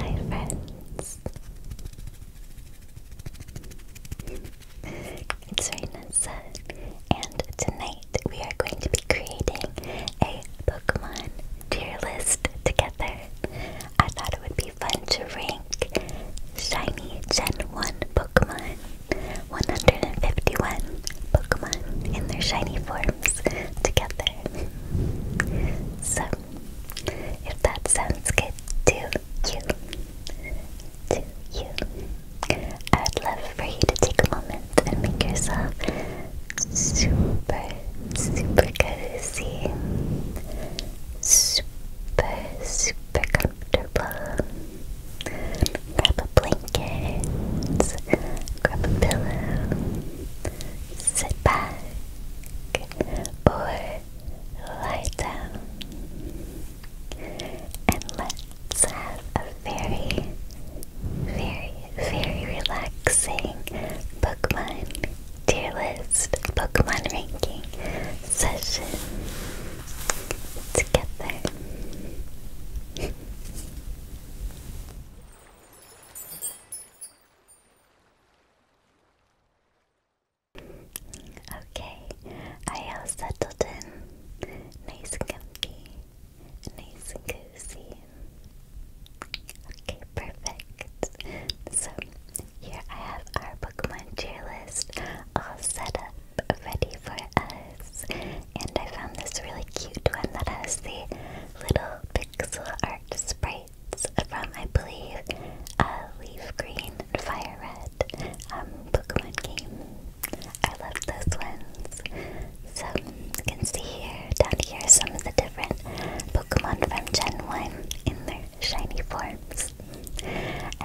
Hi friends! It's Rainessa and tonight we are going to be creating a Pokemon tier list together. I thought it would be fun to rank shiny Gen 1 Pokemon, 151 Pokemon in their shiny forms together. So, if that sounds good to you, to you, I would love for you to take a moment and make yourself super, super cozy, super, super comfortable. Grab a blanket, grab a pillow, sit back or lie down, and let's have a very, very, very relaxing Pokemon tier list, Pokemon ranking session together. Okay, I all settled in. Nice and comfy. Nice and cozy. Okay, perfect. So, here I have our Pokemon cheer list all set up, ready for us. And I found this really cute one that has the little pixel art sprites from, I believe, uh, Leaf Green Fire Red um, Pokemon game. I love those ones. So you can see here, down here, some of the different Pokemon from Gen 1 in their shiny forms. And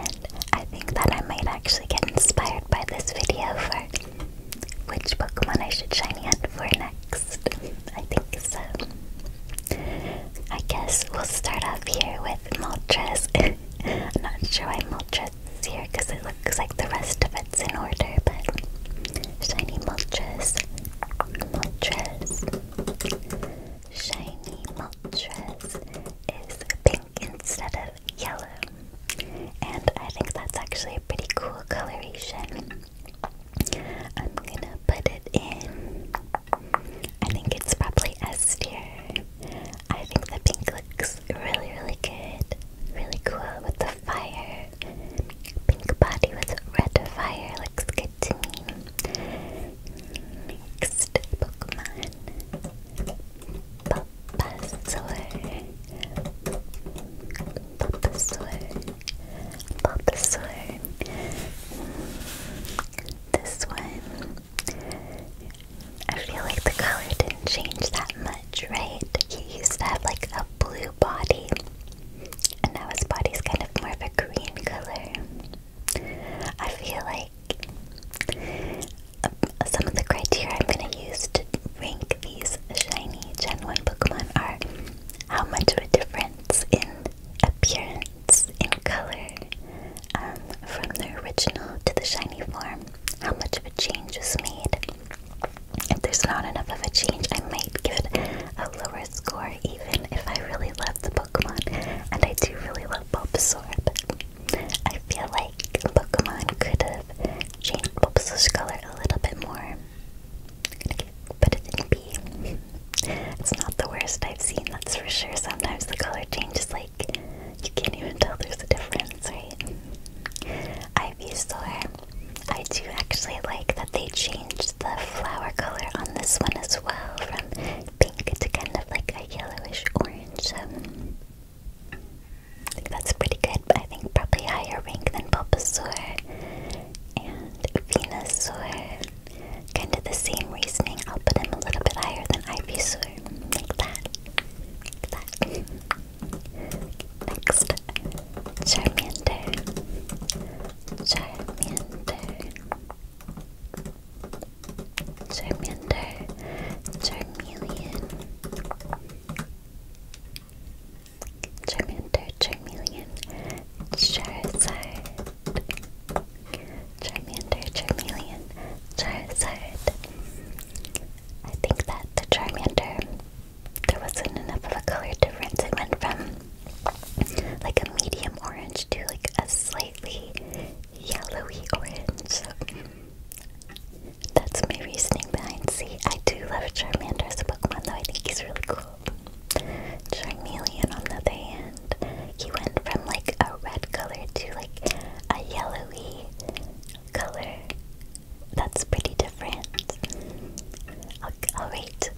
I think that I might actually get inspired by this video for which Pokemon I should shiny hunt for next. I think so. I guess we'll start off here with Moltres. I'm not sure why Moltres is here because it looks like the rest of it's in order, but shiny Moltres, Moltres, shiny Moltres is pink instead of yellow, and I think that's actually a pretty cool coloration. I'm gonna put it in. I think it's probably S tier. I think the pink looks really, really good. Really cool with the fire. Pink body with red fire looks good to me. Next Pokemon. Bulbasaur. Bulbasaur. Pop so this one I feel like the color didn't change that much, right? He used to have like a blue body and now his body's kind of more of a green color. I feel like um, some of the criteria I'm gonna use to rank these shiny Gen 1 Pokemon are how much of a difference in appearance, in color, um, from the original to the shiny form, how much of a change was made. If there's not enough of a change, I might give a lower score, even if I really love the Pokemon, and I do really love Bulbasaur, I feel like Pokemon could have changed Bulbasaur's color a little bit more but it's in B. It's not the worst I've seen, that's for sure. Sometimes the color changes, like, you can't even tell there's a difference, right? Ivy Store. I do actually like that they changed the flower color on this one as well, from pink to kind of like a yellowish orange. Um, I think that's pretty good, but I think probably higher rank than Poppy Bulbasaur and Venusaur. Kind of the same reasoning. I'll put him a little bit higher than Ivysaur. Like that. Like Next, Charmander. Charmander. Charmander. Charmeleon. Charmander, Charmeleon, Charizard. Charmander, Charmeleon, Charizard. I think that the Charmander, there wasn't enough of a color difference. It went from like a medium orange to like a slightly yellowy orange. So that's my reasoning behind C. I do love Charmander as a Pokemon, though. I think he's really cool up. on the other hand, he went from like a red color to like a yellowy color. That's pretty different. Alright,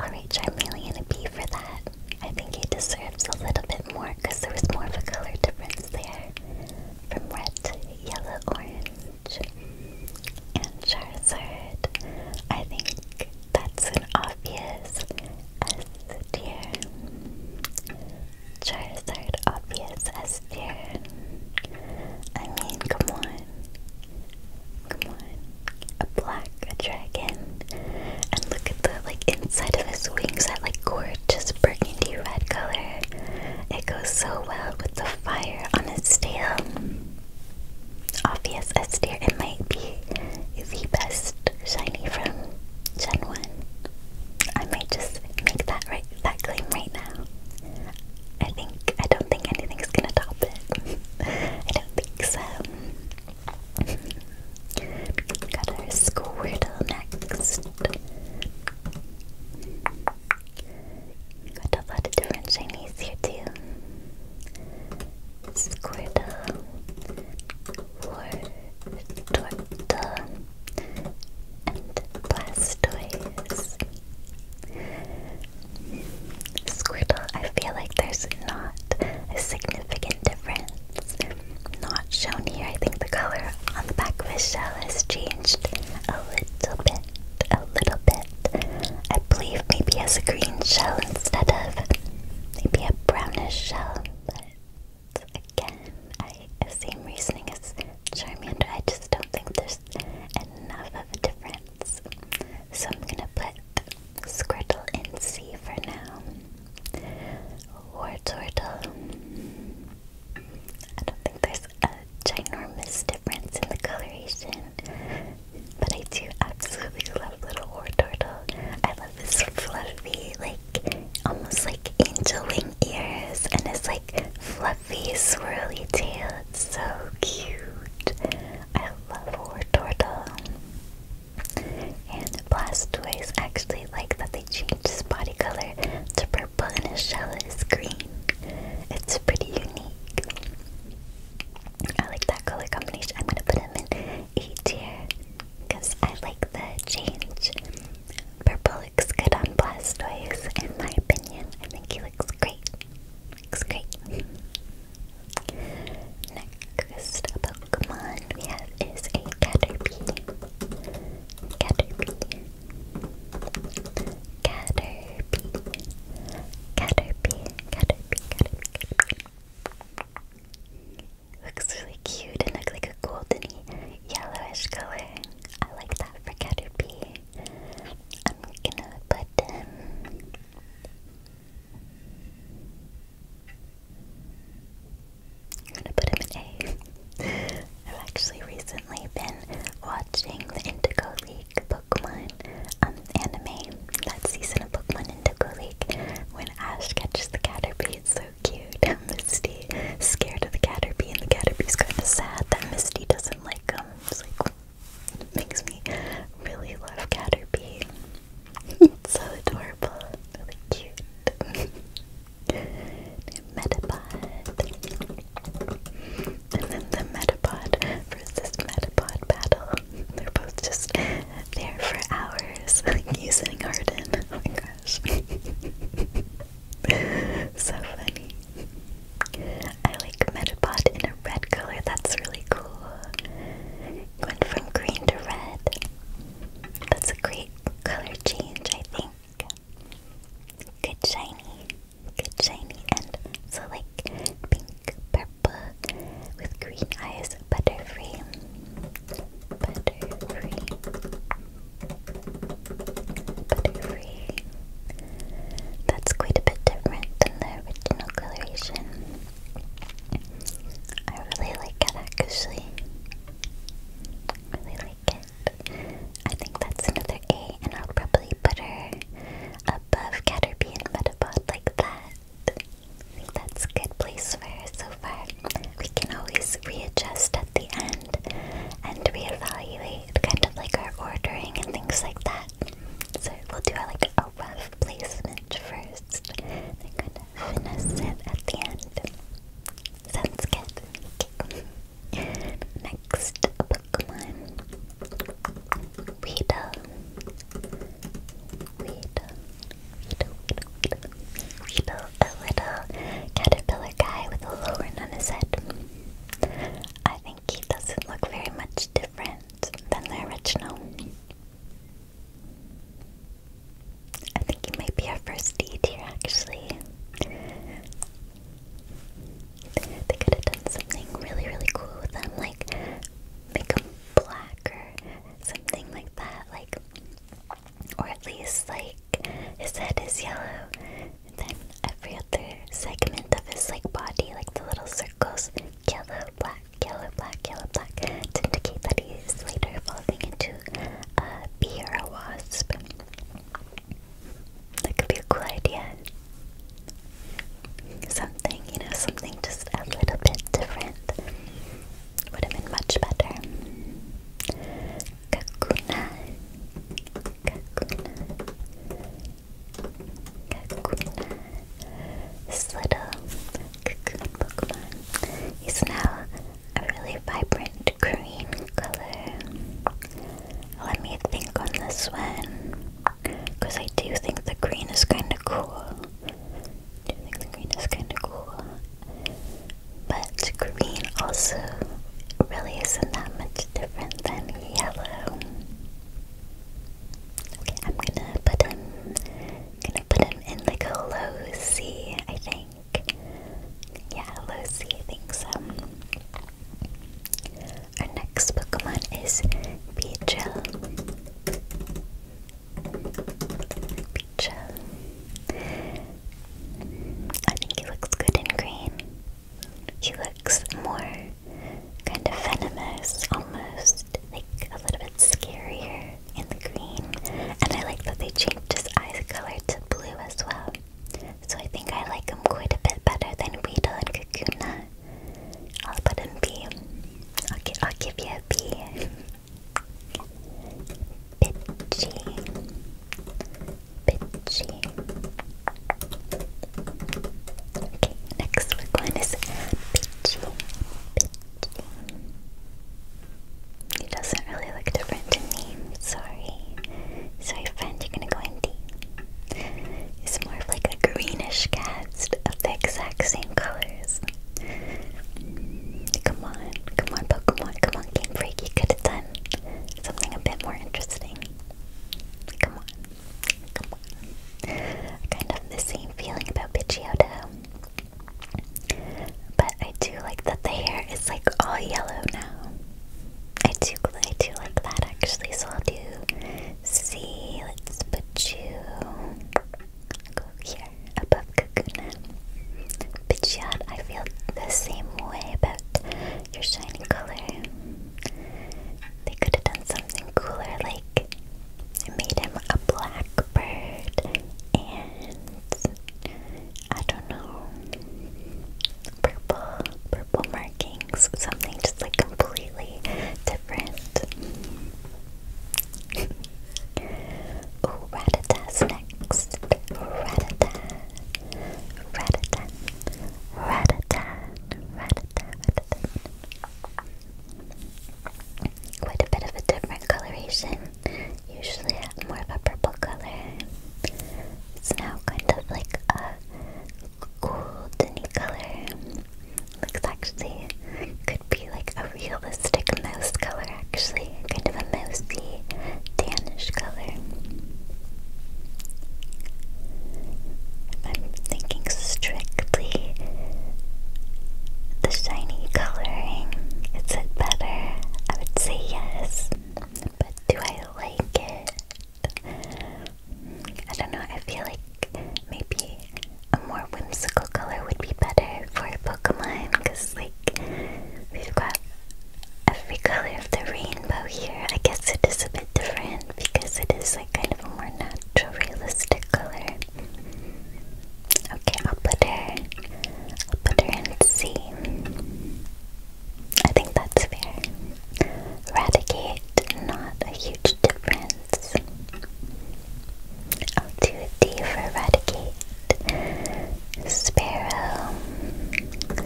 alright, Charmeleon, a B for that. I think he deserves a little bit more because there was more of a color difference there from red to yellow, orange and Charizard. I think that's an obvious S tier. Charizard, obvious S tier. I mean, come on. Come on. A black, dragon. And look at the like inside of his wings, that like gorgeous burgundy red color. It goes so well with the fire on his tail obvious S tier. It might be the best shiny from Gen 1. I might just make that right that claim right now. I think I don't think anything's gonna top it. I don't think so. got our Squirtle next. Got a lot of different shinies here too. Squirtle, Torta, and Blastoise. Squirtle, I feel like there's not a significant difference. Not shown here. I think the color on the back of his shell has changed a little bit, a little bit. I believe maybe as a green shell instead of maybe a brownish shell. But again, I same reasoning as Charmander. I just don't think there's enough of a difference. So I'm gonna put Squirtle in C for now. Or Wartortle. I don't think there's a ginormous difference in the coloration. But I do absolutely love Little War Turtle. I love his fluffy, like, almost like angel wing ears and his, like, fluffy, swirly tail. It's so cute. I love War Turtle. And Blastoise actually like that they change his body color to purple and his shell is green. It's pretty unique. I like that color combination. I'm gonna put them in A tier because I like the change. Purple looks good on Blastoise, in my opinion. I think he looks great. Looks great. Next Pokemon we have is a Caterpie. Caterpie. Caterpie. Caterpie. Caterpie. Caterpie. Looks really cute and looks like a goldeny yellowish color. I like that for Caterpie. I'm gonna put um, I'm gonna put him in A. I've actually recently been watching the Indigo League like Pokemon um, anime, that season of Pokemon Indigo League, when Ash catches the Caterpie, it's so cute. Misty scared of the Caterpie, and the Caterpie's kind of sad that Misty doesn't like him. It's like, it makes me really love Caterpie. it's so adorable, really cute. Metapod. And then the Metapod versus Metapod battle. They're both just there for hours, like using Arden. Oh my gosh. so funny. I like Metapod in a red color, that's really cool. Went from green to red. That's a great color change, I think. Good shiny, good shiny, and so like pink, purple, purple with green eyes, Butterfree. Butterfree. Butterfree. That's quite a bit different than the original coloration. I really like it actually. Really like it. I think that's another A, and I'll probably put her above Caterpie and Metapod like that. That's a good place for so far. We can always readjust at the end and reevaluate kind of like our ordering and things like that. So we'll do our, like a rough placement first. Then kind of finesse it at the end. Sounds good. Next Pokemon. Weedle. Weedle, weedle, weedle, weedle, a little caterpillar guy with a horn on his head. I think he doesn't look very much different than the original. I think he might be our first D tier, actually. They could have done something really, really cool with them, like make them black something like that, like, or at least like his head is yellow, and then every other segment of his like body, like the little circles, yellow, black, yellow, black, yellow, black, to indicate that he is later evolving into a bee or a wasp. That could be a cool idea something, you know, something just a little bit different would have been much better. Kakuna, Kakuna, Kakuna. This little cocoon Pokemon is now a really vibrant green color. Let me think on this one because I do think the green is kind of cool. I think the green is kind of cool. But green also really isn't that much different than yellow. Okay, I'm gonna put him gonna put him in like a low C, I think. Yeah, low C, I think so. Our next Pokemon is Beedrill. I think he looks good in green. He looks more kind of venomous almost, like a little bit scarier in the green. And I like that they changed his eyes color to blue as well. So I think I like him quite a bit better than Weedle and Kakuna. I'll put him B. I'll, gi I'll give you Caterpie, Pidgey, Pidgey. Okay, next one is Pidgey, Pidgey. He doesn't really look different to me. Sorry, sorry, friend. You're gonna go empty. He's more of like a greenish cat rest of the exact same colors. Come on, come on, Pokemon, come on, Game Freak, you could have done something a bit more interesting. Come on, come on. I kind of have the same feeling about Pidgeotto. But I do like that the hair is like all yellow now. I do, I do like that actually, so I'll do C. Let's put you Go here, above Kakuna. Pidgeot, I feel the same way about your shiny color. They could have done something cooler, like made him a blackbird and I don't know, purple, purple markings, something just like completely different. Ooh, Rattata's next. Rattata. Rattata. Rattata. Rattata. Rattata. Quite a bit of a different coloration. Usually have more of a purple color. It's now kind of like a golden color looks actually could be like a realistic mouse color actually, kind of a mousy tannish color. I'm thinking strictly the shiny coloring. Is it better? I would say yes. But do I like it? I don't know, I feel like maybe a more whimsical color would be better for a Pokemon because, like, we've got every color of the rainbow here. I guess it is a bit different because it is, like, kind of a more natural, realistic color. Okay, I'll put her. I'll put her in C. I think that's fair. Radicate, not a huge difference sounds. I'll do D for eradicate, sparrow,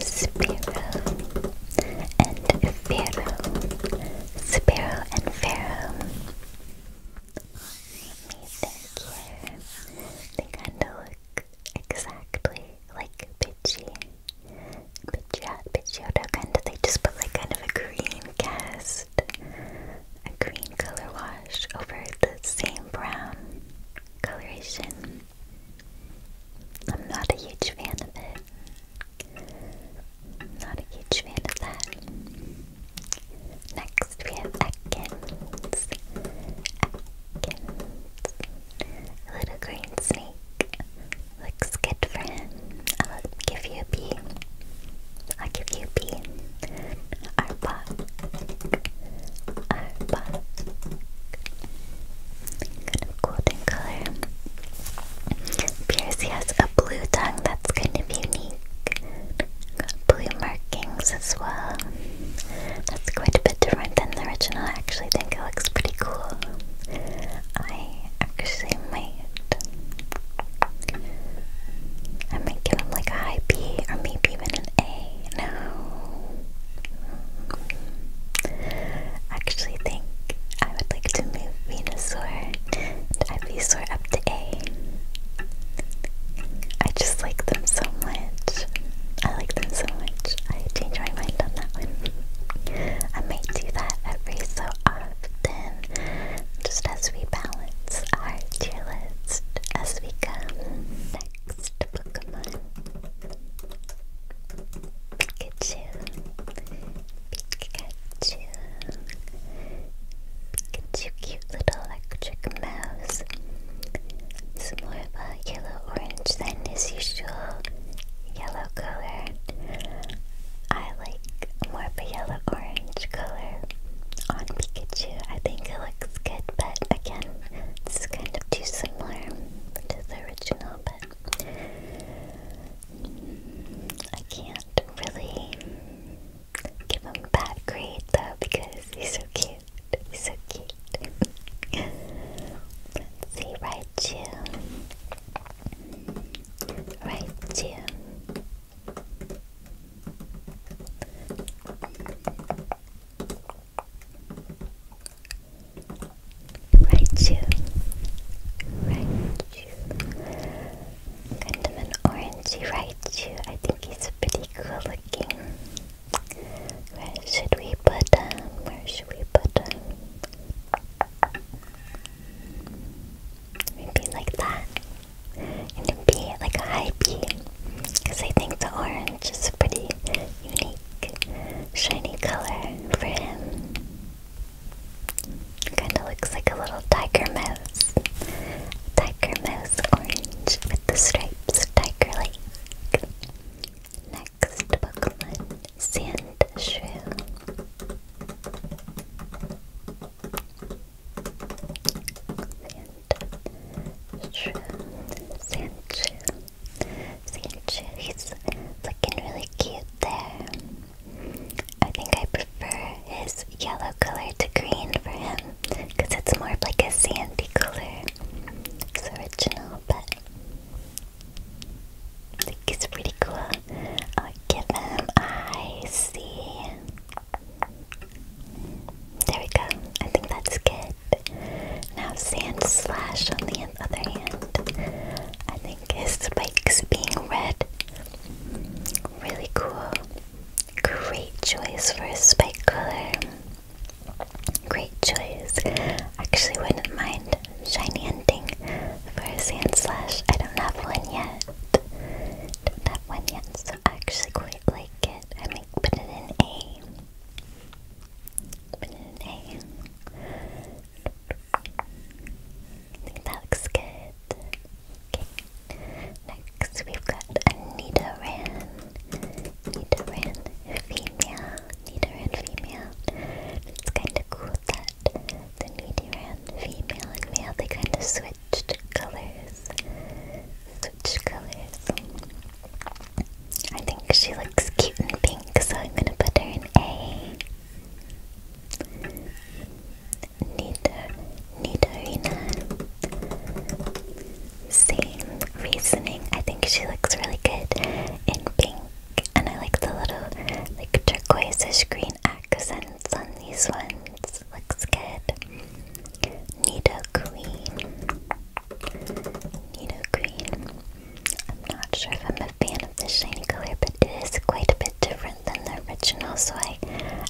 sparrow, and pharaoh, sparrow and pharaoh. They kind of look exactly like Pidgey. Pidgeot, Pidgeotto, kind of, they just put like kind of a green cast a green color wash over the same brown coloration. I'm not a huge fan of it. not a huge fan of that. Next we have Atkins. Atkins. A little green snake. Looks good for him. I'll give you a bee i give you B. Arpa. Arpa. Kind of golden color. Piercy has a blue tongue that's kind of unique. blue markings as well. That's quite a bit different than the original. I actually think it looks pretty cool. I actually might I might give him like a high B or maybe even an A. No. Actually think I would like to move Venusaur Ivysaur up to A. I just like them so much. I like them so much. I changed my mind on that one. I might do that every so often just as we balance our tier list as we come. Next Pokemon Pikachu. Pikachu. Pikachu, cute little electric mouse. It's more of a yellow orange than his usual yellow color. I like more of a yellow an orange color on Pikachu. I think looks good, but again, this kind of too similar to the original, but I can't really give him a bad grade though because he's so cute. He's so cute. Let's see, Raichu. Raichu. Right shoe, right shoe. Kind of an orangey right shoe. I think he's pretty cool looking. Where should we put him? Where should we put him? Maybe like that and a B, like a high B, because I think the orange is a pretty unique, shiny color for him. Kind of looks like a little tiger mouse. Tiger mouse orange with the stripes, tiger like. Next Pokemon, Sand Shrew. Sanchu. Sanchu. He's looking really cute there. I think I prefer his yellow color to green for him because it's more like a sandy color. It's original, but I think he's pretty cool. I'll give him I see. There we go. I think that's good. Now Sand Slash on the other hand. I think his spikes being red. Really cool. Great choice for a spike color. Great choice. Actually wouldn't mind shiny ending for a sand slash. I don't have one yet. Don't have one yet, so I actually quite like it it. I make put it in A. Put it in A. I think that looks good. Okay. Next we've got a Nidoran. Nidoran female. Nidoran female. It's kind of cool that the Nidoran female and male, they kind of switch switched colors. Switched colors. I think she looks cute in pink, so I'm gonna put her in A. Nidor Nidorina. Same reasoning. I think she looks really good in pink. And I like the little like turquoiseish green accents on these ones. Looks good. Nita Queen. Nita Queen. I'm not sure if I'm a fan of this shiny color, but it is quite a bit different than the original, so I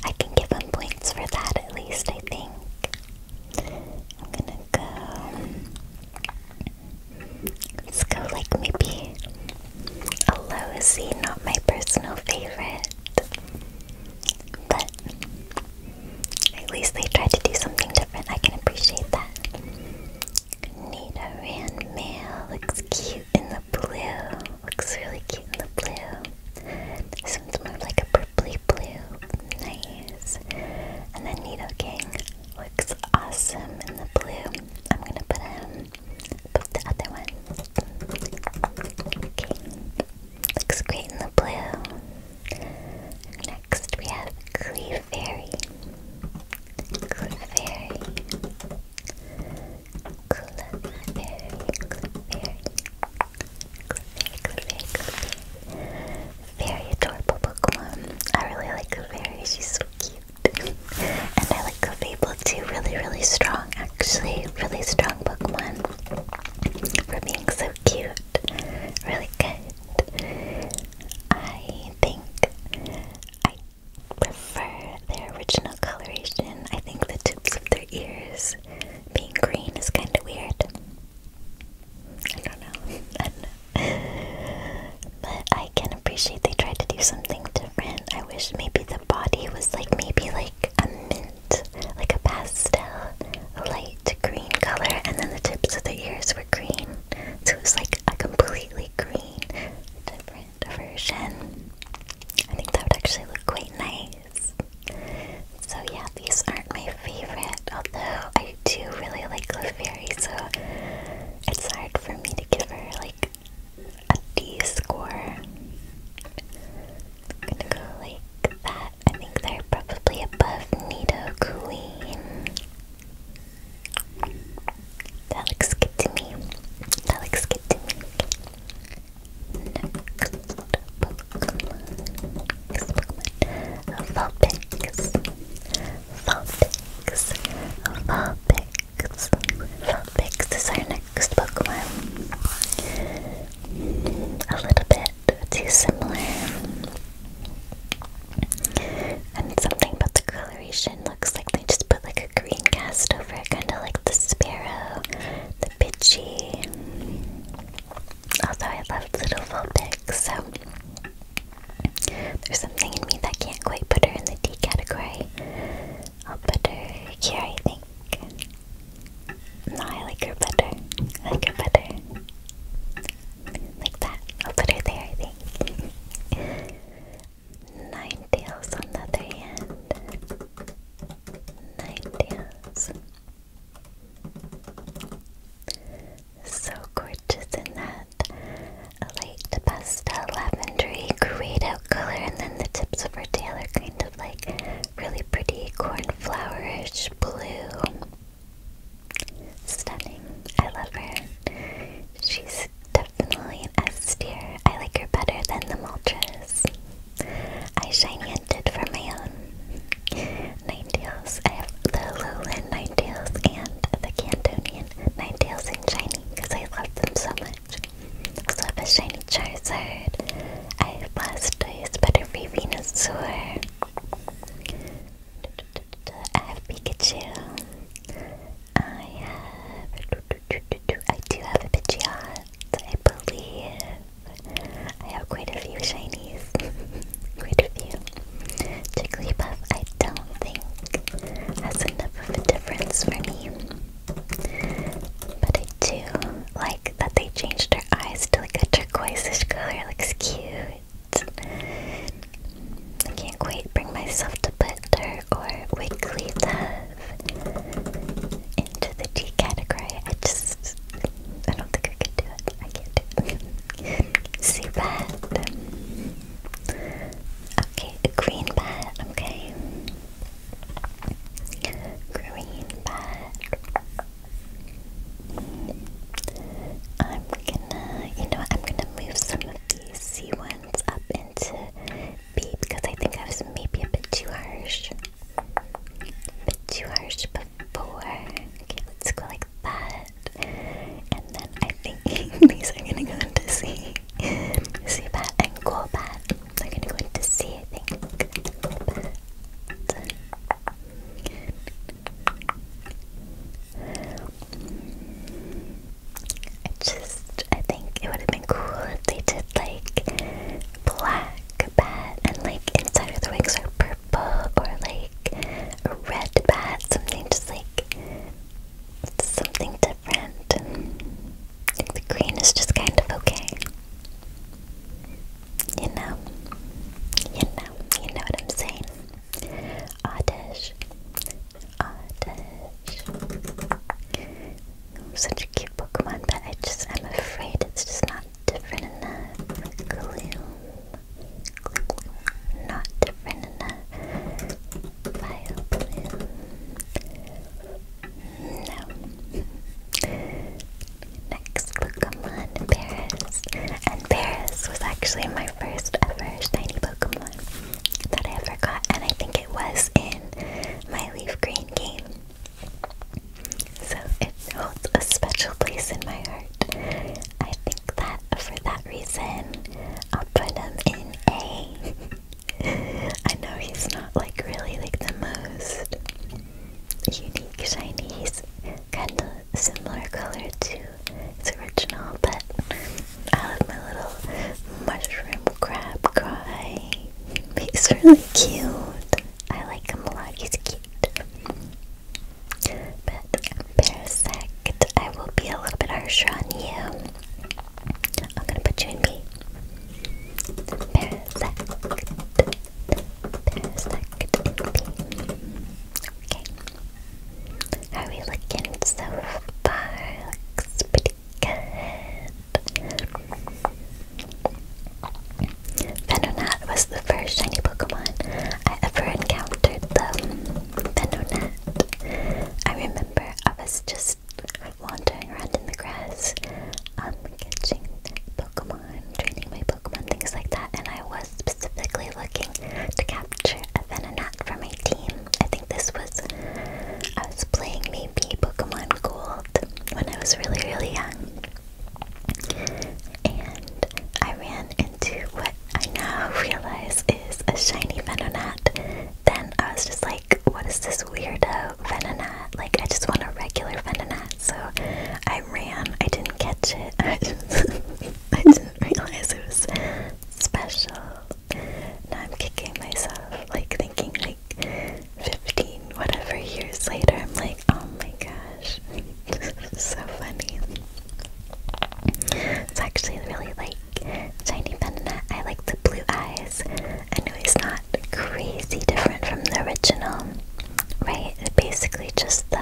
I can give them points for that at least, I think. I'm gonna go let's go like maybe a lousy, not my personal favorite. But at least they tried to do something different. I can appreciate that. Nita Ran looks cute in the blue. Looks really cute in the blue. This one's more like a purpley blue. Nice. And then Nito looks awesome in the blue. I'm gonna put him. Um, put the other one. Okay. Looks great in the blue. Next we have Clefairy. Clefairy. Clefairy. Clefairy. Clefairy, Clefairy, Very adorable Pokemon. I really like Clefairy, she's so cute. and I like Clefable too, really, really strong actually. Really strong Pokemon for being so cute. Really good. I think I prefer their original coloration. I think the tips of their ears being green is kind of weird. I don't know. I don't know. But I can appreciate they tried to do something different. I wish maybe the body was like maybe like a mint like a pastel, a light green color, and then the tips of the ears were green. So it was like a completely green, different version. I think that would actually look quite nice. So yeah, these aren't my favorite, although I do really like Clefairy, so it's hard for me to give her like a D score. gonna go like that. I think they're probably above Nido Queen. That looks good to me. That looks good to me. Next Pokemon. Next Pokemon. Vulpix. our next Pokemon. A little bit too similar. And something about the coloration looks like they just put like a green cast over it, kind of like the sparrow, the bitchy. Although I love little Vulpix, so there's something in me that can't quite put her in the D category. I'll put her here, I think. No, I like her better. I like her better. Like that. I'll put her there, I think. Nine tails on the other hand. Nine tails. So gorgeous in that a light pastel lavendery grayed out color, and then the tips of her tail are kind of like really pretty cornflowerish blue. Stunning. I love her. She's definitely an S I like her better than the Moltres. I shiny hunted for my own. Ninetales. I have the Lowland Ninetales and the Cantonian Ninetales and shiny because I love them so much. Also have a shiny Charizard. I have Blastoise, Butterfree Venusaur, I have Pikachu. I have. I do have a Pidgeot, I believe. I have quite a few shinies. quite a few. Jigglypuff, I don't think has enough of a difference for me. But I do like that they changed her eyes to like a turquoise color. Looks cute. can't quite bring myself to put her or Wigglytuff into the G category. I just I don't think I could do it. I can't do it. See Okay, green bat, okay. Green bat. I'm gonna, you know, I'm gonna move some of these C ones up into B because I think I was maybe a bit too harsh. bit too harsh before. let's go like that. And then I think these are gonna go into C. C bat and cool bat. They're gonna go into C, I think. I just, I think it would have been cool if they did like black bat and like inside of the wings are purple or like a red bat, something just like something different. And, the green is just kind of okay. You know, you know, you know what I'm saying. Oddish, Oddish. Such a cute Pokemon, but I just, I'm afraid it's just not different enough. Gloom. Not different enough. File No. Next Pokemon, Paris. And Paris was actually my first ever shiny Pokemon that I ever got, and I think it was in my Leaf Green game. So it holds a special place in my heart. I think that for that reason, I'll put him in A. I know he's not like really like the most unique shiny. He's kind of similar color to its original, but I love my little mushroom crab guy. He's really cute. I like him a lot. He's cute. But Parasect, I will be a little bit harsher on you. I'm gonna put you in B. There's that creepy. Are we looking so far? Looks pretty good. Venonat was the first shiny Pokemon I ever encountered though. Venonat. I remember I was just wandering around in the grass, um, catching Pokemon, training my Pokemon, things like that. And I was specifically looking to capture a Venonat for my team. I think this was, I was playing maybe Pokemon Gold when I was really, really young. And I ran into what I now realize is a shiny Venonat. Then I was just like, what is this weirdo Venonat? Like, I just want a regular Venonat. So I I ran. I didn't catch it. I, didn't realize it was special. Now I'm kicking myself, like thinking like 15 whatever years later, I'm like, oh my gosh. so funny. It's actually really like Shiny Bandana. I like the blue eyes. I know he's not crazy different from the original, right? It's basically just the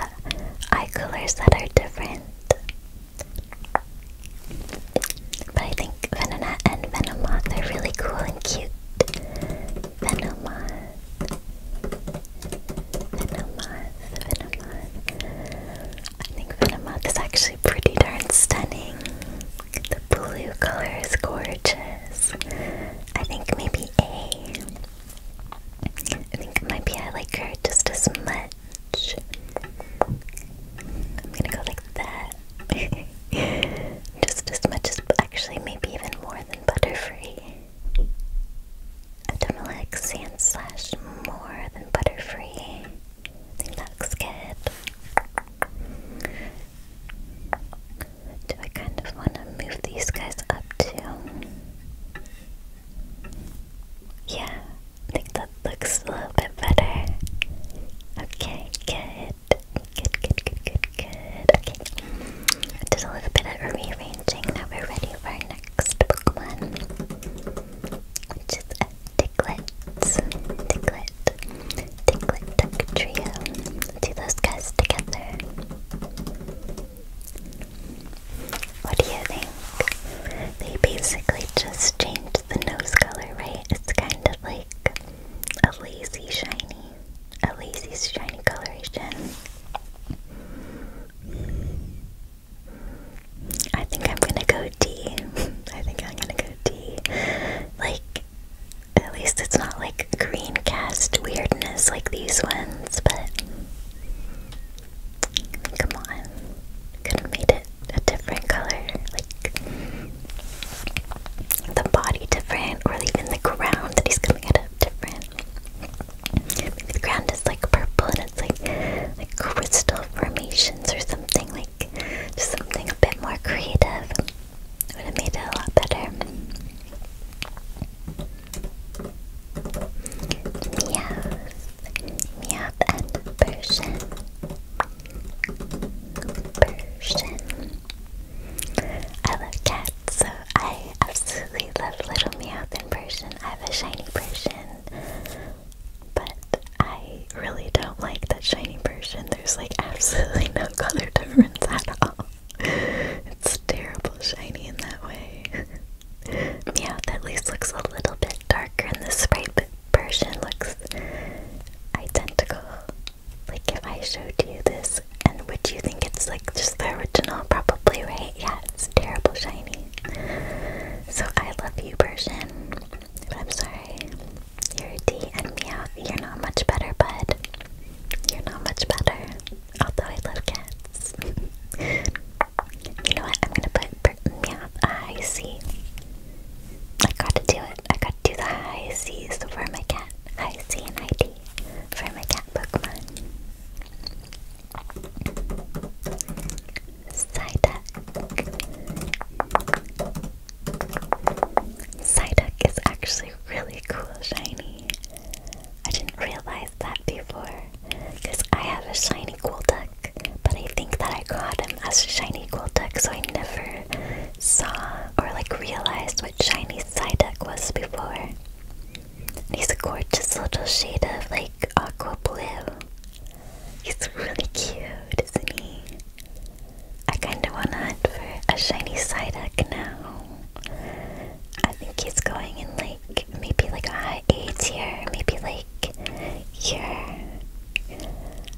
eye colors that are different. But I think Venonat and Venomoth are really cool and cute. Venomoth. Venomoth. Venomoth. I think Venomoth is actually pretty darn stunning. The blue color is gorgeous. I think maybe A I think maybe I like her just as much. I'm gonna go like that. just as much as, actually, maybe even more than Butterfree. I definitely like Sand more than Butterfree. I think that looks good. Do I kind of want to move these guys up too? Yeah, that looks a little bit better. Okay, good. Good, good, good, good, Okay. I did a little bit of rearranging. Now we're ready for our next Pokemon. Which is a Diglett. Diglett. Diglett Trio. do those guys together. What do you think? They basically just changed the nose color, right? It's kind of like a lazy shiny, a lazy shiny coloration. I think I'm gonna go D. I think I'm gonna go D. Like, at least it's not like green cast weirdness like these ones, but Come on. Could have made it a different color, like the body different, or even the ground that he's coming out of different. Maybe the ground is like purple and it's like like crystal formations or something, like just something a bit more creative. Would have made it a lot better. Meows. Meowth and Persian. Persian. I love cats, so I absolutely love little Meowth in Persian. I have a shiny Persian, but I really don't like that shiny Persian. There's like absolutely no color difference at all. It's terrible shiny in that way. Meowth at least looks a little bit darker and the sprite, but looks identical. Like if I showed you this, and would you think it's like just the original? Probably, right? Yeah, it's terrible shiny. So I love you, Persian, but I'm sorry. You're a D and Meowth. You're not much better, but You're not much better. Although I love cats. You know what? I'm gonna put yeah, a high I gotta do it. I gotta do the high C's for my cat. I see an ID for my cat Pokemon. Psyduck. Psyduck is actually really cool, shiny. I didn't realize that before. Because I had a shiny Golduck, but I think that I caught him as a shiny Golduck, so I never saw or like realized what shiny Psyduck was before. he's a gorgeous little shade of like aqua blue. He's really cute, isn't he? I kind of want to hunt for a shiny Psyduck now. I think he's going in like maybe like a high AIDS here, maybe like here.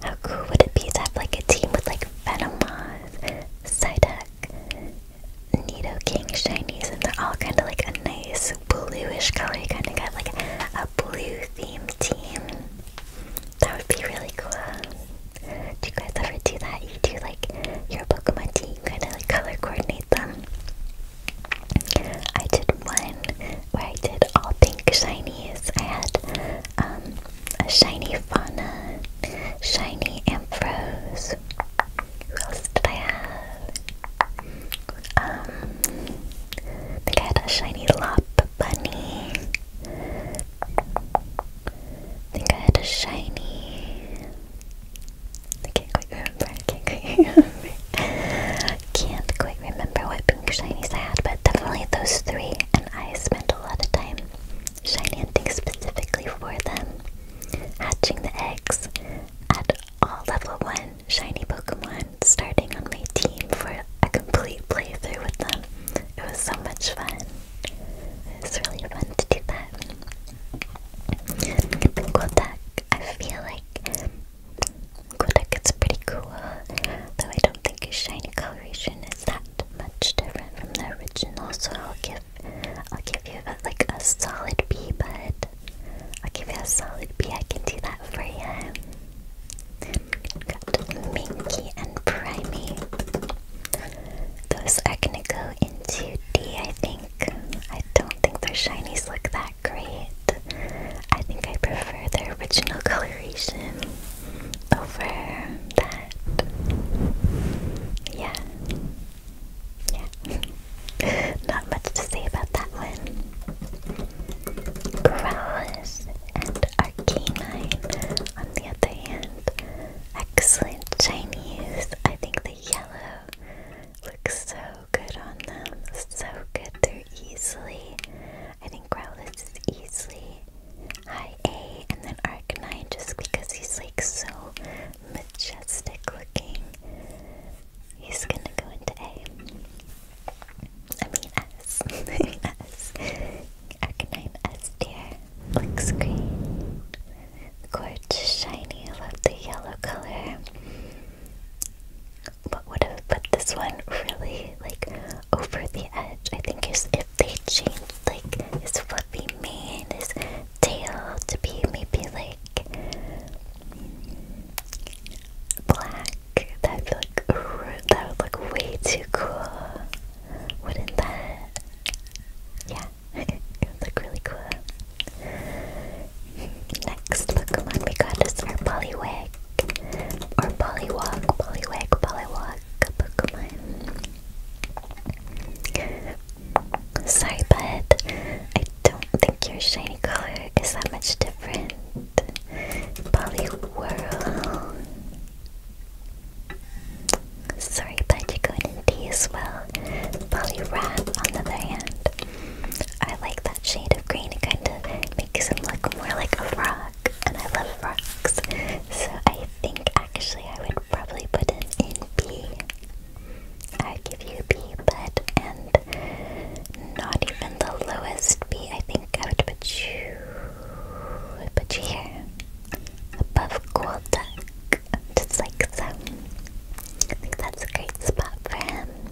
How cool would it be to have like a team with like Venomoth, Psyduck, Nidoking, Shinies, and they're all kind of like a nice bluish color. You kind of got like a blue theme team. That would be really cool. Do you guys ever do that? You do like your Pokemon team, kind of like color coordinate them. I did one where I did all pink shinies. I had um, a shiny Fauna, shiny Ambrose. Who else did I have? Um, think I had a shiny Lop Bunny. I think I had a shiny. I can't quite remember. can't quite remember. what pink shiny I had, but definitely those three. And I spent a lot of time shiny hunting specifically for them, hatching the eggs at all level one shiny Pokemon, starting on my team for a complete playthrough with them. It was so much fun. It's really fun to do that. cool deck. I feel like like Golduck is pretty cool, though I don't think his shiny coloration is that much different from the original, so I'll give I'll give you like a solid B, but I'll give you a solid B. I can do that for you. Got Minky and Primey. Those are gonna go into D, I think. I don't think their shinies look that great. I think I prefer the original coloration over that. Yeah. Yeah. Not much to say about that one. Growlithe and Arcanine, on the other hand, excellent Chinese. I think the yellow Looks so good on them. So good. They're easily. I think Growlithe is easily high A, and then Arcanine just because he's like so majestic looking. He's gonna go into A. I mean S. S. Arcanine S dear. Looks great. Gorgeous, shiny. I love the yellow color what would have put this one really like over the edge, I think, is if they changed like his fluffy mane, his tail to be maybe like black. That'd be that would look way too cool, wouldn't that? Yeah, it would look really cool. Next Pokemon we got is our Poliwag. Or Poliwag, Poliwag, Poliwag Sorry, bud. I don't think your shiny color is that much different. Poliwhirl. Sorry, bud, you're going to D as well. Poliwrath on the other hand. I like that shade of green. It kind of makes him look more like a rock, and I love rocks. So I think actually I would probably put him in B. I'd give you B, but and not even the lowest B. I think I would put you. put you here, above Golduck, just like so. I think that's a great spot for him.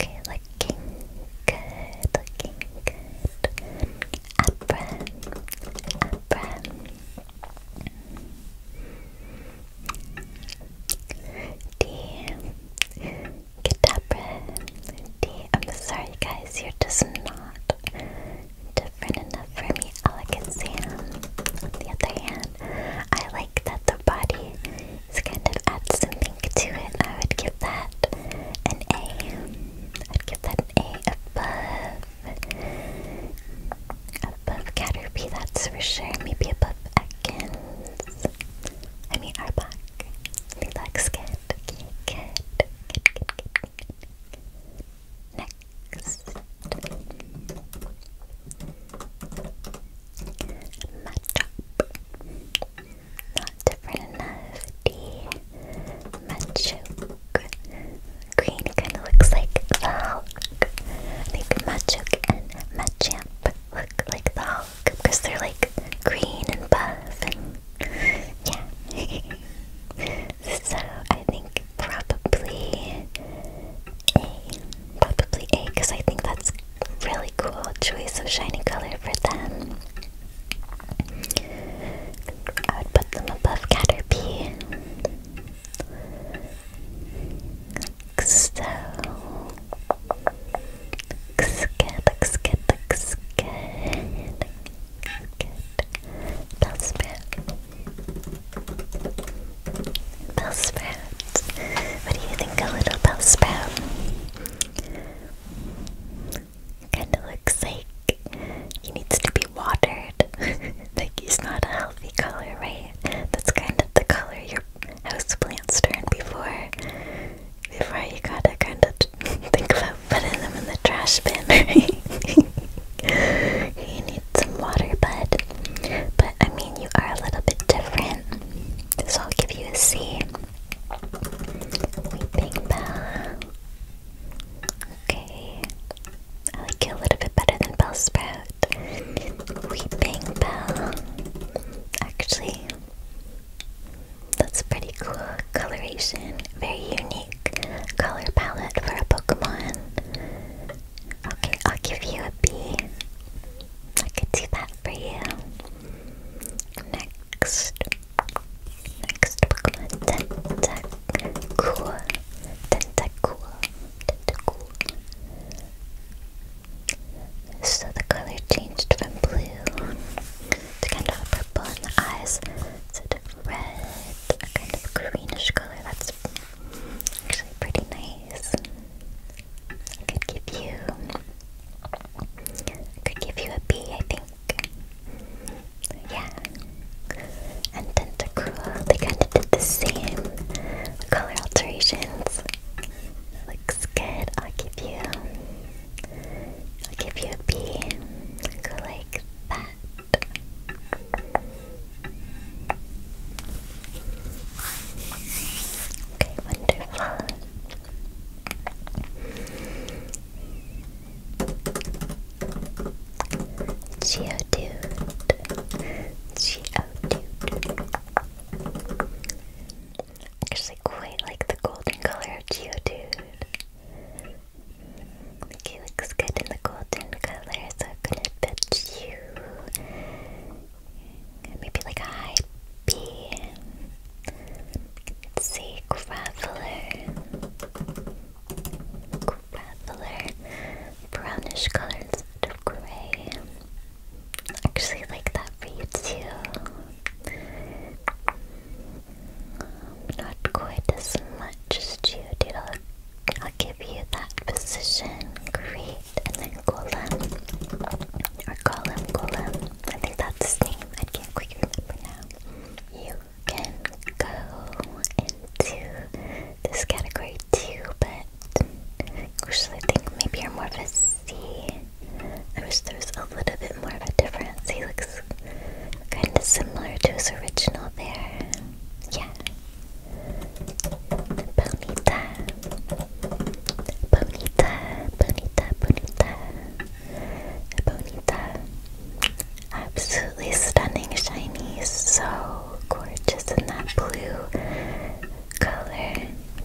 Okay, looking good, looking good. Abra, Abra. D, Kadabra, D. I'm sorry, guys, you're just not different enough for me. Alakazam, um, the other hand. I like that the body is kind of adds something to it. I would give that an A. I'd give that an A above. Above Caterpie, that's for sure. Maybe above Ekans. I mean Arbok. I think that looks good. Okay, good. Good, good, good, good. Next match Not different enough. D Machoke. Green kind of looks like the Hulk. I and Machamp look like the because they're like green and buff and yeah. so I think probably a. Probably A, because I think that's really cool choice of shiny color for them. I would put them above Caterpie. so. Looks good, looks good, looks good. Looks good. Bellsprout. Bellsprout. What do you think a little bellsprout? Kind of looks like he needs to be watered. like he's not a healthy color, right? That's kind of the color your houseplants turned before. Before you gotta kind of think about putting them in the trash bin, right? you some water, bud. But I mean, you are a little bit different. So I'll give you a C. Weeping Bell. Okay. I like you a little bit better than Bell Sprout. Weeping Bell. Actually, that's pretty cool coloration. Very unique color palette for a Pokemon. Okay, I'll give you a B. I could do that for you. Next. Next Pokemon Tentacool. Tentacool. Tentacool. So the color changed from blue to kind of purple in the eyes. to red, a kind of greenish color. That's actually pretty nice. I could give you I could give you a B, I think. Yeah. And Tentacruel, they kinda did the same color alterations. Looks good. I'll give you I'll give you a B. Go like that. Okay, wonderful. Geodude. Geodude. Actually quite like the golden color of Geodude. Like he looks good in the golden color, I'm gonna bet you Maybe like a high B. Let's see, Graveler. Graveler. Brownish color instead of gray. Actually, like that for you too. Not quite as much as you, dude. I'll, I'll give you that position. Great and then Golem, or Golem, Golem, I think that's his name, I can't quite remember now. You can go into this category too, but actually I think maybe you're more of a C. I wish there was a little bit more of a difference. He looks kind of similar to his original there. Yeah. Bonita. Bonita, bonita, bonita, bonita. Absolutely stunning shiny, so gorgeous in that blue color,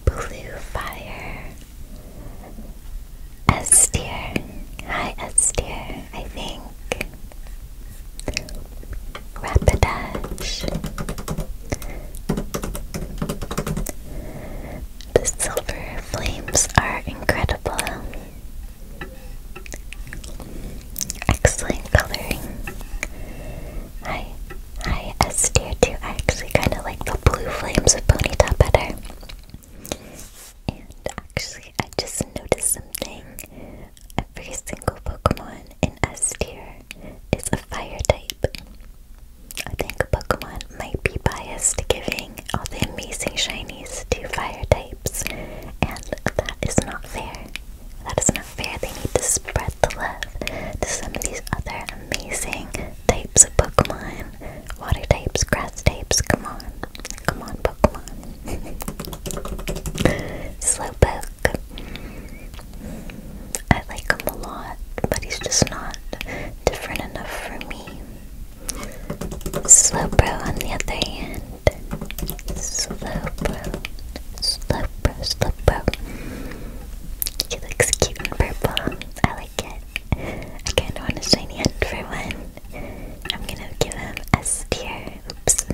blue fire. S tier, hi S I think. Rapidash. The silver flames are incredible. Excellent coloring. Hi, hi, S tier I actually kind of like the blue flames of Ponyta better. And actually, I just noticed something. Every single Pokemon in S tier is a fire type. I think Pokemon might be biased giving all the amazing shinies to fire types, and that is not fair. That is not fair. They need to spread the love to some of these other amazing types of Pokemon. Water types, grass types, come on. Come on, Pokemon. Slowpoke, Jack. I like him a lot, but he's just not different enough for me. Slowbro, on the other hand, Slowbro, Slowbro, Slowbro. He looks cute and purple. I like it. I kind of want a shiny hunt for one. I'm gonna give him S tier. Oops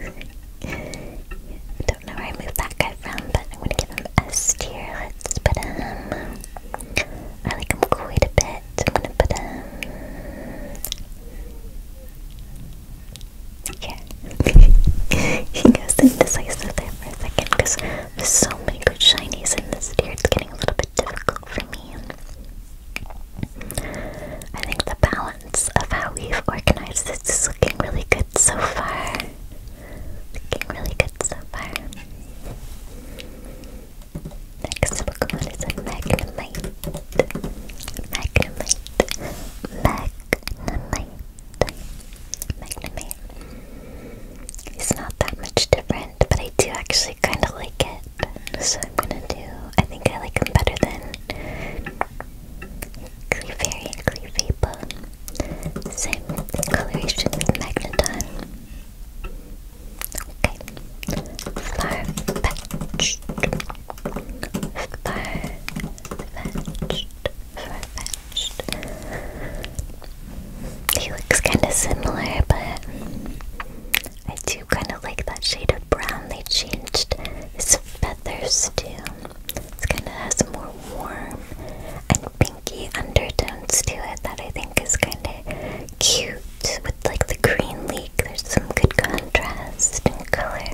don't know where I moved that guy from, but I'm gonna give him S tier. Let's put him. I like him quite a bit. I'm gonna put him here. he goes indecisive there for a second there's so many good shinies in this tier. It's getting a little bit difficult for me. I think the balance of how we've organized this is looking really good so far. Looking really so far. Next Pokemon is Magnemite. Magnemite. Magnemite. Magnemite. It's not that much different, but I do actually kind of like it. So I'm gonna do. I think I like him better than Clefairy Clefable. Same coloration with Magneton. Okay. Flower fetched. Flower fetched. Flower fetched. He looks kind of similar, but I do kind of like that shade of brown. They changed his feathers too. It's kind of has more warm and pink undertones to it that I think is kind of cute with like the green leek. There's some good contrast in color.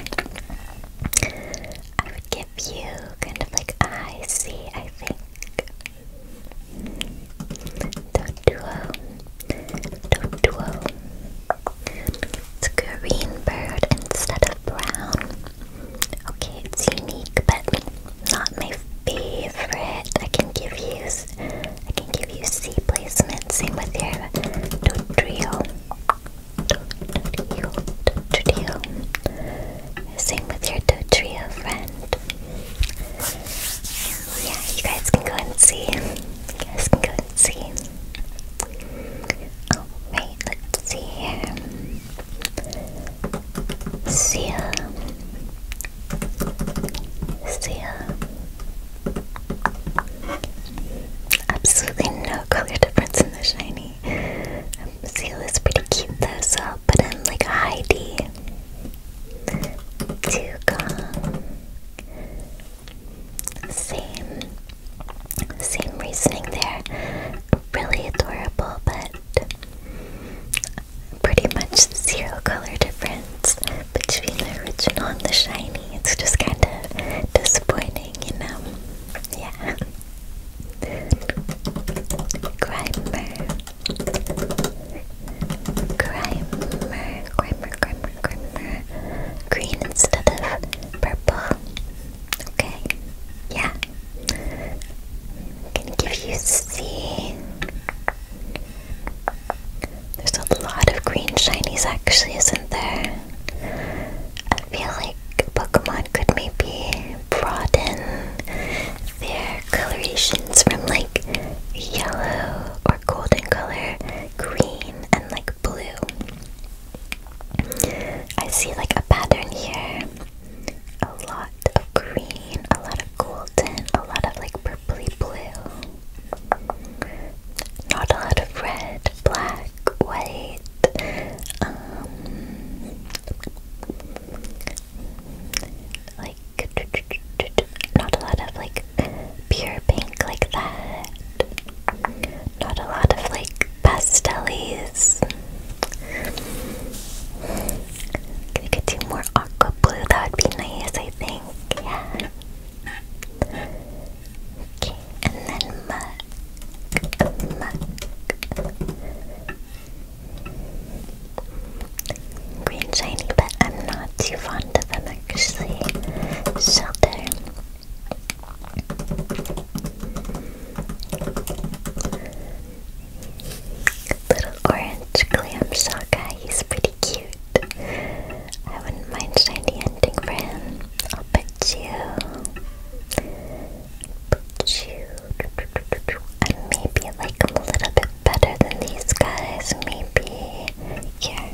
I would give you kind of like I see. I think. Doduo. Doduo. It's green bird instead of brown. Okay, it's unique, but not my favorite. I can give you, I can give you C placement. Same with your Dodrio. trio, Dodrio. Same with your Dodrio friend. Yeah, you guys can go and see. You guys can go and see. Alright, let's see here. See ya. Absolutely no color difference in the shiny. Um, Seal is pretty cute though, so I'll in like a high D. Dugong. Same, same reasoning there really adorable, but pretty much zero color difference between the original and the shiny. It's just kind of disappointing, you know? Yeah. Grimer. Grimer, Grimer, Grimer, Grimer. Green instead of purple. Okay. Yeah can give you C. There's a lot of green shinies actually, isn't there? I feel like Pokemon could maybe broaden their colorations from like yellow or golden color, green, and like blue. I see like a pattern here. A lot lot of green, a lot of golden, a lot of like purply blue. Not a lot of red, black, white. Um, like not a lot of like pure pink like that. Not a lot of like pastelies. We could do more aqua blue, that would be nice, I think. Yeah. Okay, and then mug. Mug. Green shiny, but I'm not too fond of them actually. Shelter. Little orange clam shell guy, he's pretty cute. I wouldn't mind shiny ending for him. I'll put you. Put you. And maybe like a little bit better than these guys. Maybe here.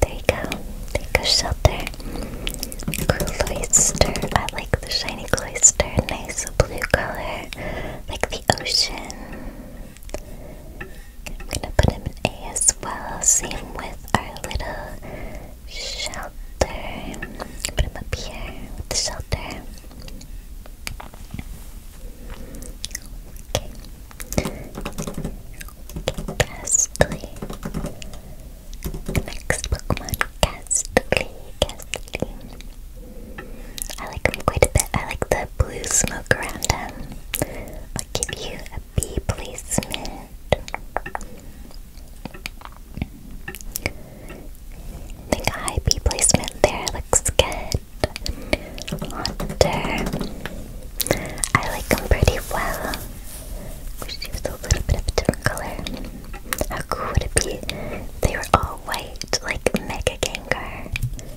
There you go. There you shelter. Cloister. I like the shiny cloister. Nice blue color. Like the ocean. I'm gonna put him in A as well. Same with our little shelter. Put him up here with the shelter. Okay. Okay, Presley. Next Pokemon, Castly, Castly. I like him quite a bit. I like the blue smoke around them. I'll give you a B placement. think a high B placement there looks good. Haunter. I like them pretty well. Wish he was a little bit of a different color. How cool would it be? They were all white, like Mega Gengar.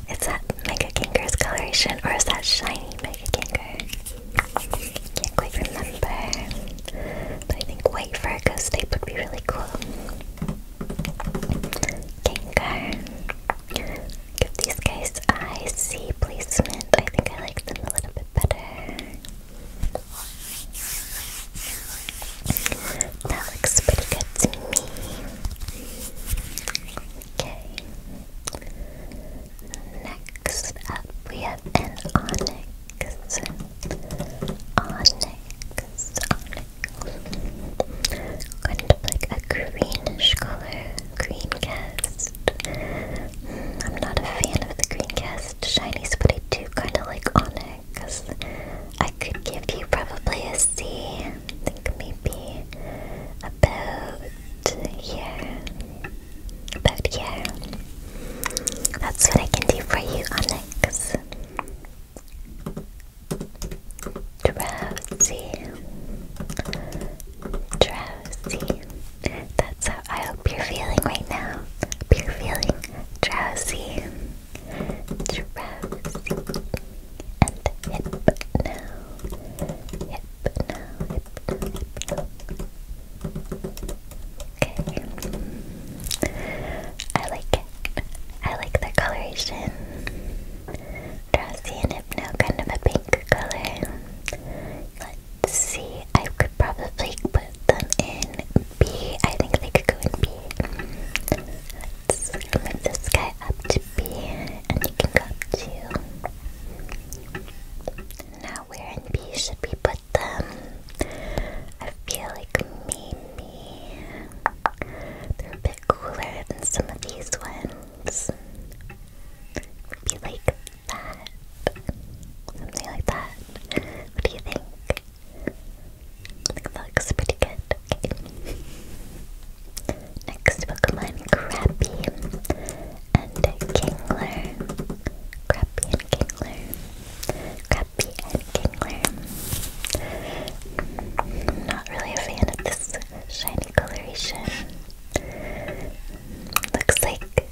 Is that Mega Gengar's coloration or is that shiny Mega Gengar? Can't quite remember. But I think white for a ghost would be really cool. Gengar. Give these guys eye placement. I think I like them a little bit better. That looks pretty good to me. Okay. Next up, we have an onyx. Onyx, onyx. Kind of like a greenish color, green cast. Hmm, I'm not a fan of the green cast shinies, but I do kind of like onyx because I could give you probably a C. I think maybe about here. About here. That's what I can do for you, Onyx. Drowsy. Drowsy. That's how I hope you're feeling right now. Hope you're feeling drowsy, drowsy, and hypno, hypno, Okay, I like it. I like the coloration. Drowsy and hypno, kind of a pink color. Let's see, I could probably put put them in B. I think they could go in B. Let's move this guy up to B, and you can go up to. Now, where in B should we put them? I feel like maybe they're a bit cooler than some of these ones. Maybe like that. Something like that. What do you think? looks pretty good. Okay. Next Pokemon, Crappy and Kingler. Crappy and Kingler. Crappy and Kingler. I'm not really a fan of this shiny coloration. Looks like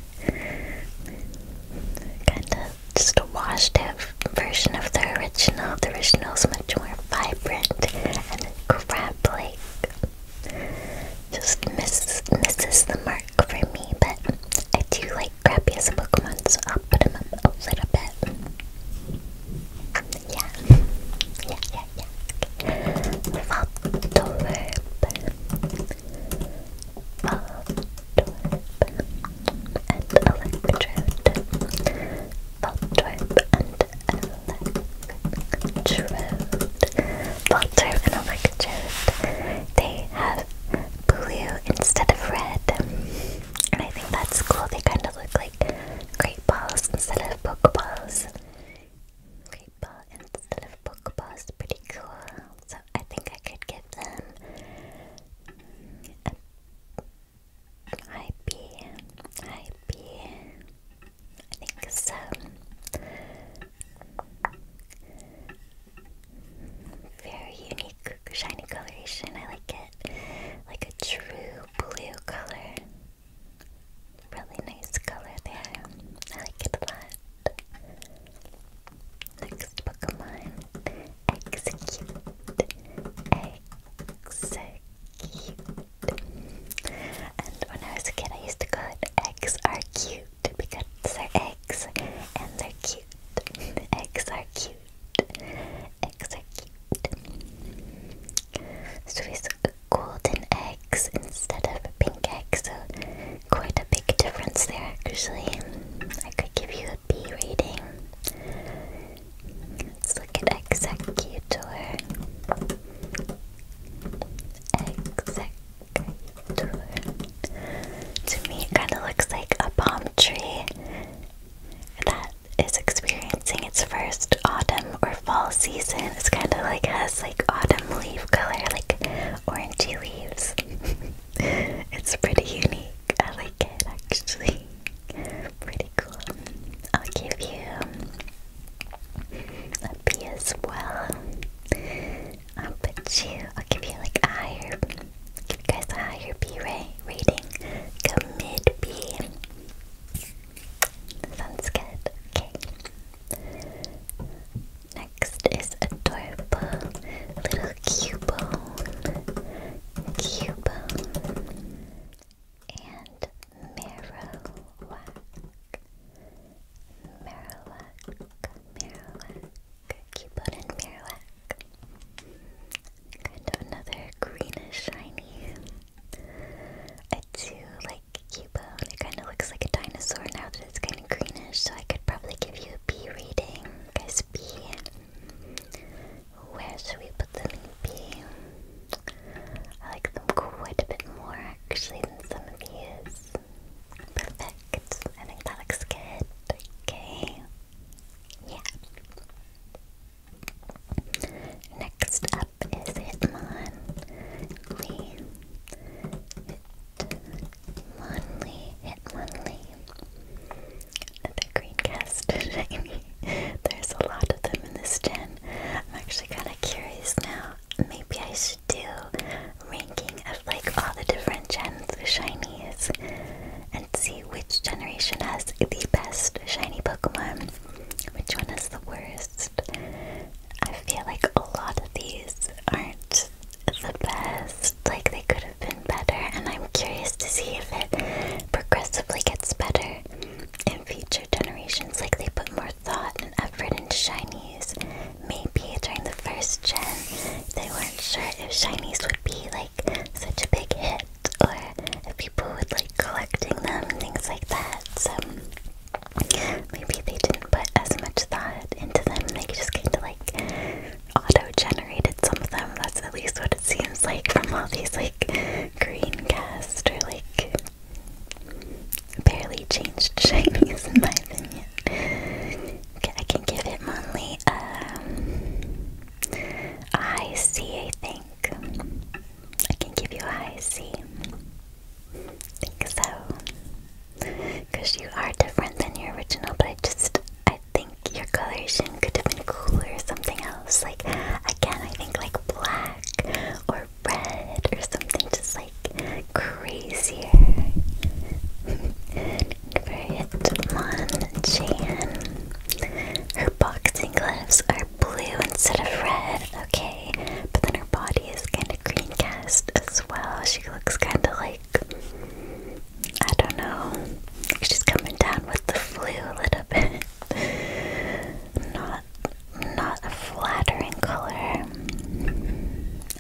kind of just a washed out version of the original. The original is much more vibrant and crab-like. Just miss, misses the mark for me, but I do like Krabby as a Pokemon, so I'll put him up a little bit. Yeah. Yeah, yeah, yeah. Okay. Faltoverb and electrode. Voltorb and electrode. Voltorb and electrode. They have blue instead of red. And I think that's cool. They kind of look like great balls instead of pokeballs. Great ball instead of pokeballs. Pretty cool. So I think I could give them a high B, high B. I think so. Very unique, shiny coloration. I like it. Like a true blue color. Really nice color there. I like it a lot. Next Pokemon. Execute. Execute. And when I was a kid, I used to call it eggs are cute because they're eggs and they're cute. Eggs are cute. execute. So it's golden eggs instead of pink eggs. So quite a big difference there actually. I could give you a B rating. Let's look at executor. Executor. To me, it kind of looks like a palm tree that is experiencing its first autumn or fall season. It's kind of like has like autumn leaf color, like orangey leaves. it's pretty unique. I like it actually. Pretty cool. I'll give you a B as well. I'll put you. I'll give you like a higher. Give you guys a higher B ray rating. Go mid B. Sounds good. Okay. Next is adorable little cubone. Cubone and Marowak. Marowak, Marowak, Cubone and Marowak. Kind of another greenish shiny. I do like Cubone. It kind of looks like a dinosaur now that it's kind of greenish, so I could probably give you a B reading. Guys, B. Where should we put the meepy? I like them quite a bit more actually than some of these. Perfect. I think that looks good. Okay. Yeah. Next up is Hitmon. Lee. Hitmonlee. Hitmonlee the green cast There's a lot of them in this gen. I'm actually kind of curious now. Maybe I should do ranking of like all the different gens with shinies and see which generation has the best shiny Pokemon, which one is the worst. I feel like a lot of these aren't the best. Like they could could have been better, and I'm curious to see if it progressively gets better in future generations. Like they put more thought and effort into shinies. Maybe during the first gen, they weren't sure if shinies would be like such a big hit or if people would like collecting them and things like that. So maybe they didn't put as much thought into them. They just kind of like auto-generated some of them. That's at least what it seems like from all these like green cast or like barely changed shinies in my opinion. I can give it only um, a high C I think. I can give you a high C. I think so. Because you are different than your original, but I just I think your coloration could have been cooler or something else. Like, again, I think like black or red or something just like crazier. Brit Monchan. Her boxing gloves are blue instead of red, okay, but then her body is kind of green cast as well. She looks kind of like I don't know. She's coming down with the flu a little bit. not not a flattering color.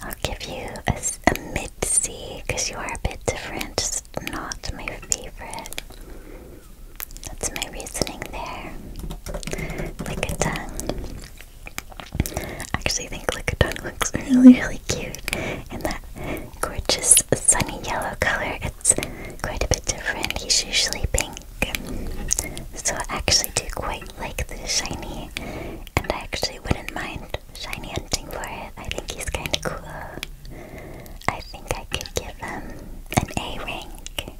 I'll give you a, a mid C because you are a bit different. Just not my favorite. That's my reasoning there. Like actually think Lickitung looks really, really cute in that gorgeous sunny yellow color. It's quite a bit different. He's usually pink. So I actually do quite like the shiny, and I actually wouldn't mind shiny hunting for it. I think he's kind of cool. I think I could give him an A rank.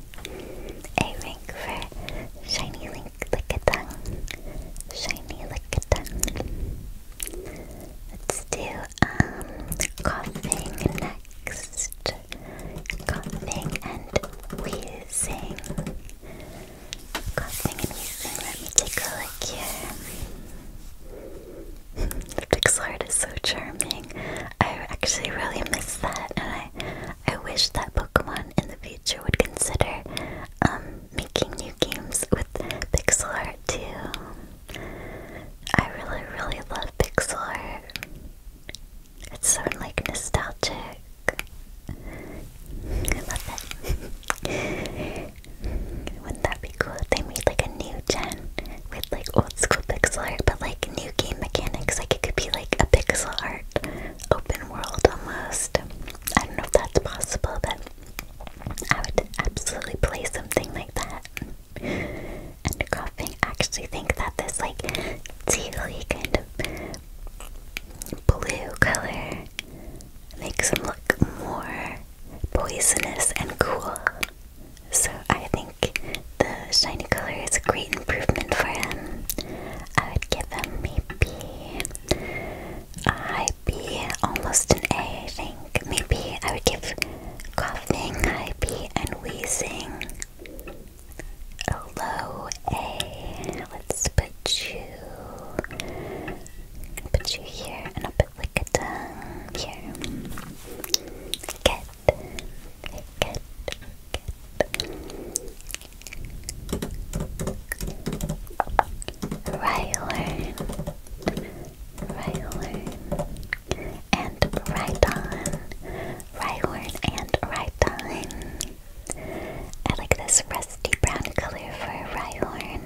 A rank for shiny link like a lickatong. Shiny lickatong. Let's do um, coughing next. Coughing and wheezing. Coughing and wheezing. Let me take a look here. Pixlart is so charming. I actually really miss that, and I I wish that Pokemon in the future would consider um making new games with pixel art too. I really, really love pixel art. It's so like nostalgic. I love it. Wouldn't that be cool if they made like a new gen with like old school pixel art but like new game mechanics? Like it could be like a pixel art open world almost. I don't know if that's possible, but I would absolutely play something like that. Undercropping actually think that this like tealy kind of blue color makes him look more poisonous and cool. So I think the shiny color is a great improvement for him. I would give him maybe a high B, almost an A I think. Maybe I would give coughing, high and wheezing. A low A. Let's put you. Put you here, and I'll put like a tongue here. Get, get, get. Right horn. Rhyhorn and Rhyton. Rhyhorn and Rhyton. I like this rusty brown color for a Rhyhorn.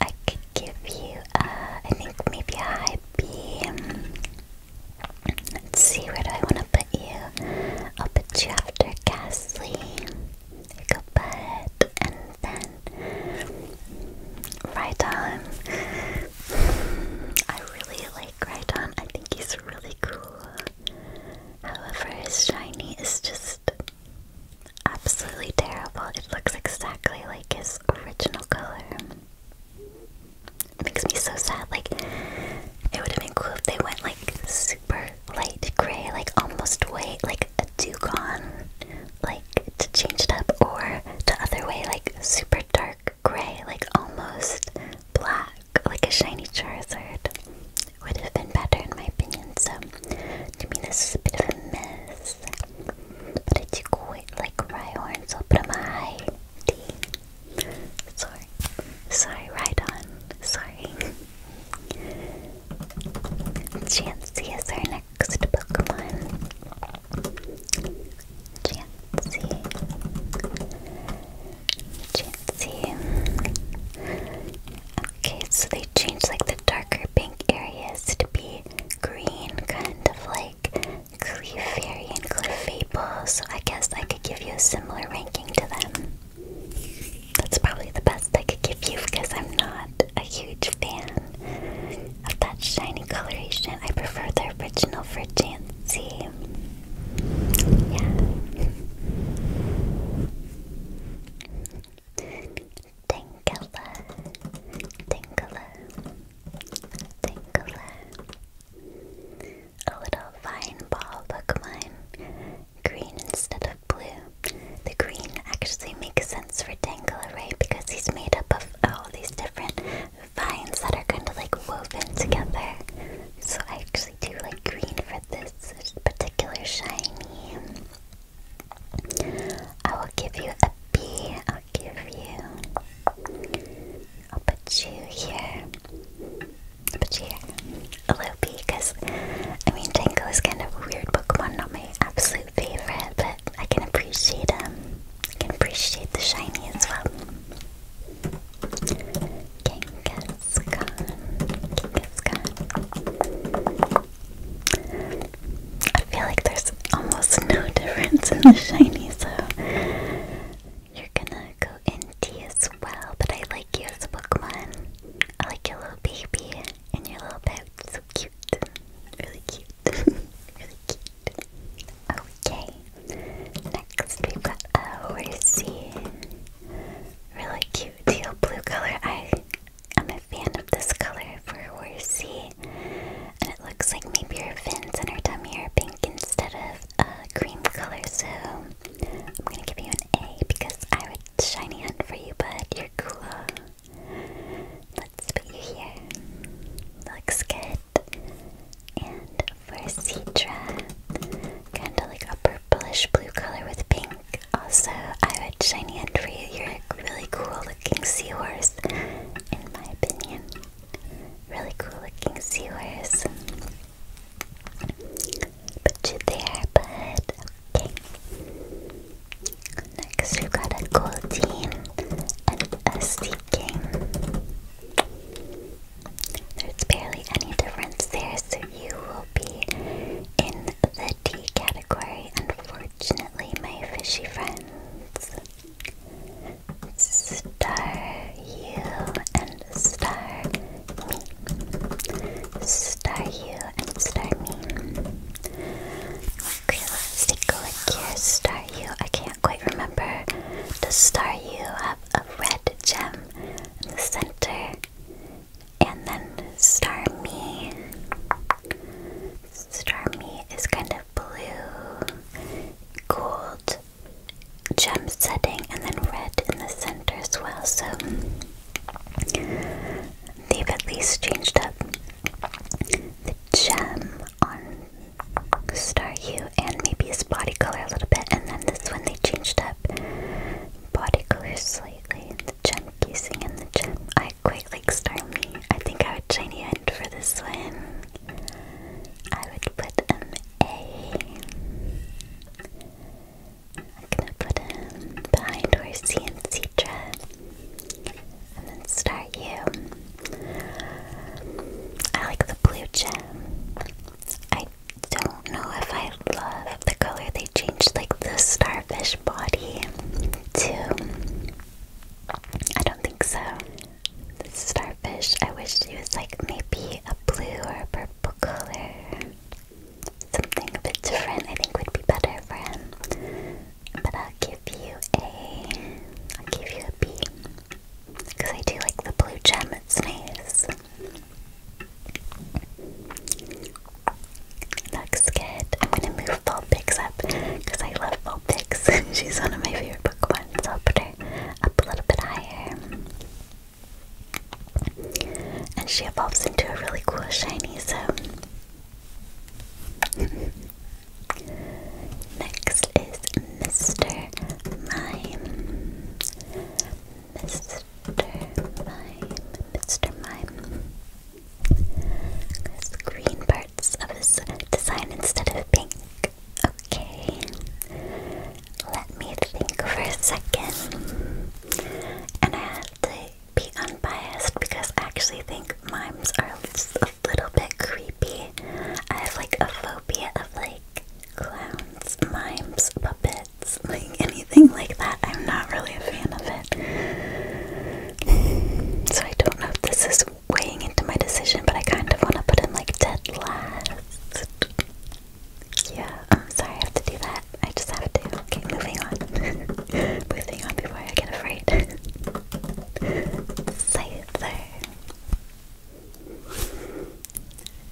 I could give you, uh, I think maybe a high B. Let's see, where do I want to put you? I'll put you after Ghastly. There you go, bud. And then Rhydon. I really like Rhydon. I think he's really cool. However, his shiny is just absolutely terrible. It looks exactly like his original color. It makes me so sad. Like, it would have been cool if they went like super light gray, like almost white, like a dugong like to change it up, or the other way, like super dark gray, like almost black, like a shiny Charizard. Would have been better in my opinion, so to me this is a bit of a mess. But I do quite like Rhyhorn, so I'll put him a high Sorry. Sorry, Rhydon. Sorry. Chansey is our next Pokemon. Chancy, Chancy. Okay, so they changed like the darker pink areas to be green, kind of like Clefairy and Clefable. So I guess I could give you a similar ranking to them. That's probably the best I could give you because I'm not a huge fan of that shiny coloration. I prefer the original for Jancy. Yeah. Tangela, Tangela, Tangela. A little vine ball Pokemon. Green instead of blue. The green actually makes sense for Tangela, right? Because he's made up of all these different vines that are kind of like woven together. So I actually do like green for this particular shiny. I will give you a B. I'll give you. I'll put you here. put you here. A little B because I mean Tango is kind of a weird Pokemon, not my absolute favorite, but I can appreciate them. I can appreciate the shiny as well. Kangaskhan, Kangaskhan. I feel like there's almost no difference in the shiny, so you're gonna go into as well. But I like you as a Pokemon. I like your little baby and your little pet. So cute. Really cute. really cute. Okay. Next we've got a horsey. Really cute teal blue color. I am a fan of this color for horsey. And it looks like maybe her fins and her tummy are pink instead of a cream color. So I'm gonna give you an A because I would shiny hunt for you, but you're cool. Let's put you here. Looks good. And for Citra, kind of like a purplish blue color with pink. Also, I would shiny end for you. are a really cool looking seahorse, in my opinion. Really cool looking seahorse. Put you there, but Okay. Next, we've got a gold team and a sea there's barely any difference there, so you will be in the D category, unfortunately, my fishy friends. Star you and star me. Star you and star me. Okay, Star you. I can't quite remember. Does Star you have a red gem in the center? And then Star Me. Star Me is kind of blue, gold, gem setting, and then red in the center as well. So they've at least changed up the gem on star hue and maybe his body color a little bit, and then this one they changed up body color slightly. The gem casing in the gem. I quite like Starmie. I think I would shiny end for this one. I would put an A. I'm gonna put him behind where C and Citra. And then start you? I like the blue gem. I don't know if I love the color they changed, like the starfish body, to. I don't think so. The starfish, I wish it was like maybe a blue or a purple color. Something a bit different, I think, would be better for But I'll give you a. I'll give you a B. Because I do like the blue gem, it's nice. Looks good. I'm gonna move Ball Vulpix up because I love Ball Vulpix. She's one of my favorite Pokemon, so I'll put her up a little bit higher. And she evolves into a really cool shiny, so Next is Mr. Mime. Mr. Mime. Mr. Mime. There's green parts of his design instead of pink. Okay. Let me think for a second. And I have to be unbiased because I actually think mimes are a little bit creepy. I have like a phobia of like clowns, mimes, puppets, like anything like that. I'm not really a fan of it. So I don't know if this is weighing into my decision, but I kind of want to put in like dead last. Yeah, sorry I have to do that. I just have to. Okay, moving on. moving on before I get afraid. Scyther.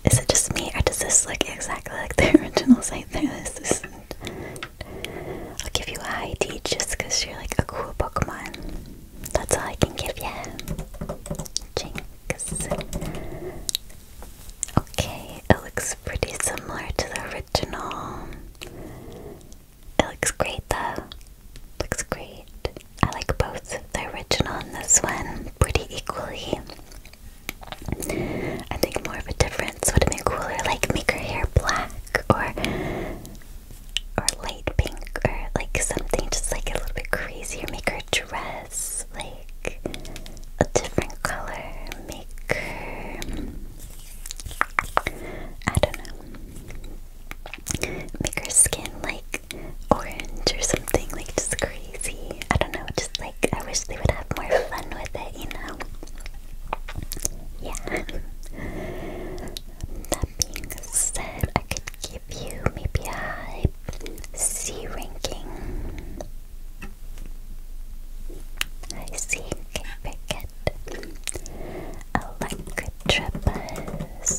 Is it just me, or does this look exactly like the original site? There, I'll give you a ID just you're like a cool Pokemon. That's all I can give you. Jinx. Okay, it looks pretty similar to the original. It looks great though. Looks great. I like both the original and this one pretty equally. I think more of a difference would have been cooler, like make her hair black or or light pink or like something just like a little bit crazier. Make her dress like a different color. Make I don't know make her skin like orange or something, like just crazy. I don't know, just like I wish they would have more fun with it, you know? Yeah. That being said, I could give you maybe a high ranking. I see, okay, very good. Electrobus.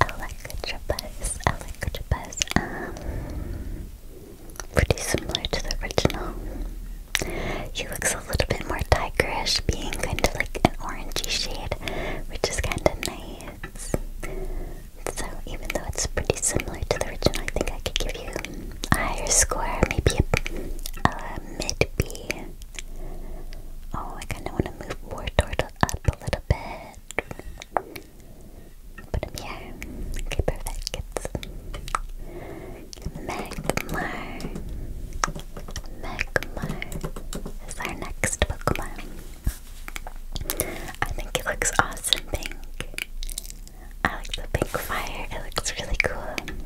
Electrobuzz, Electrobuzz, um, pretty similar to the original. He looks a little bit more tigerish, being kind of like an orangey shade, which is kind of nice. So even though it's pretty similar to the original, I think I could give you a higher score, maybe a, a mid B. Oh, I kind of want to move more toward up a little bit. Put him here. Okay, perfect. Magmar. Magmar is our next Pokemon. I think it looks awesome pink. I like the pink fire, it looks really cool.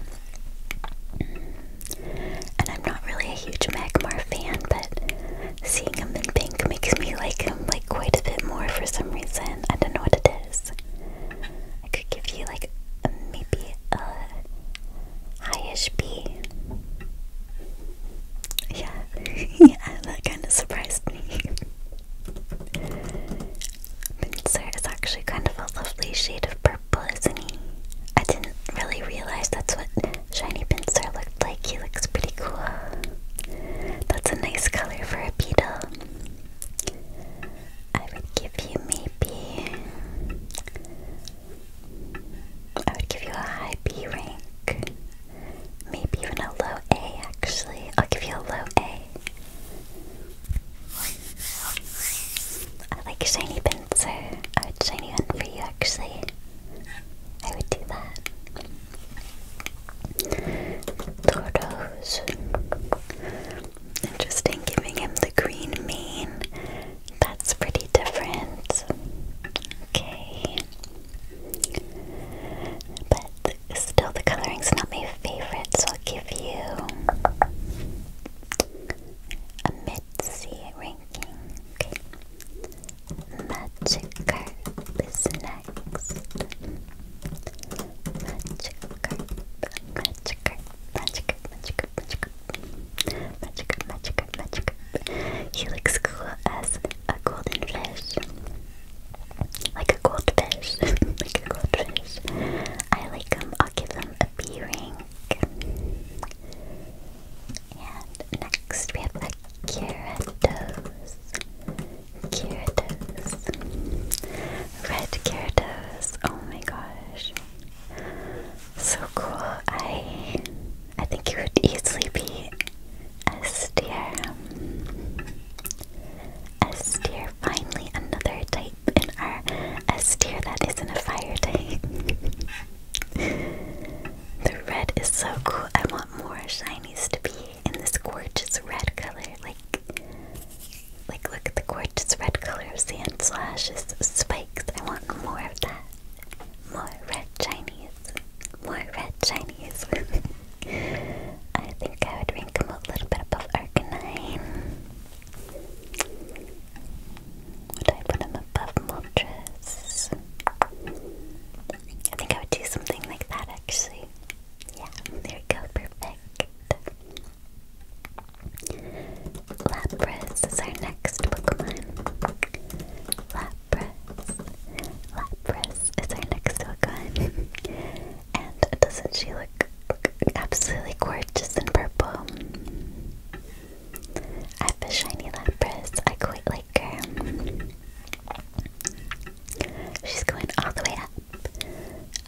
And I'm not really a huge Magmar fan, but seeing him in pink makes me like him like quite a bit more for some reason. I don't know what it is. I could give you like maybe a highish B. Yeah, yeah, that kind of surprised me. Mincer is actually kind of a lovely shade of purple, isn't he? I didn't really realize that's what Shiny Pinsir looked like he looks pretty cool. That's a nice color for a beetle. I would give you maybe. I would give you a high B rank. Maybe even a low A, actually. I'll give you a low A. I like Shiny Pinsir. I would shiny one for you, actually. I would do that. Tordos. Interesting, giving him the green mane. That's pretty different. Okay. But still, the coloring's not my favorite, so I'll give you a mid C ranking. Okay. Magic Magikarp is next. Magikarp, Magikarp, Magikarp, Magikarp, Magikarp. Magikarp, Magikarp, Magikarp. He looks cool as a golden fish. Like a goldfish. like a goldfish. I like him. I'll give him a B rank. And next we have a Gyarados. Gyarados. Red Gyarados. Oh my gosh. So cool. I I think it would easily be a steer. S tier. Finally another type in our S tier that isn't a fire type. The red is so cool. I want more shinies to be in this gorgeous red color. Like, like look at the gorgeous red color of sand slashes, spikes. I want more of that. More red shinies. More red shinies. I think I would rank them a little bit above Arcanine. Would I them above Moltres? I think I would do something like that actually. Yeah, there we go, perfect. Lapras is our next Pokemon. Lapras. Lapras is our next Pokemon. and doesn't she look, look absolutely gorgeous in purple? I have a shiny Lapras. I quite like her. She's going all the way up.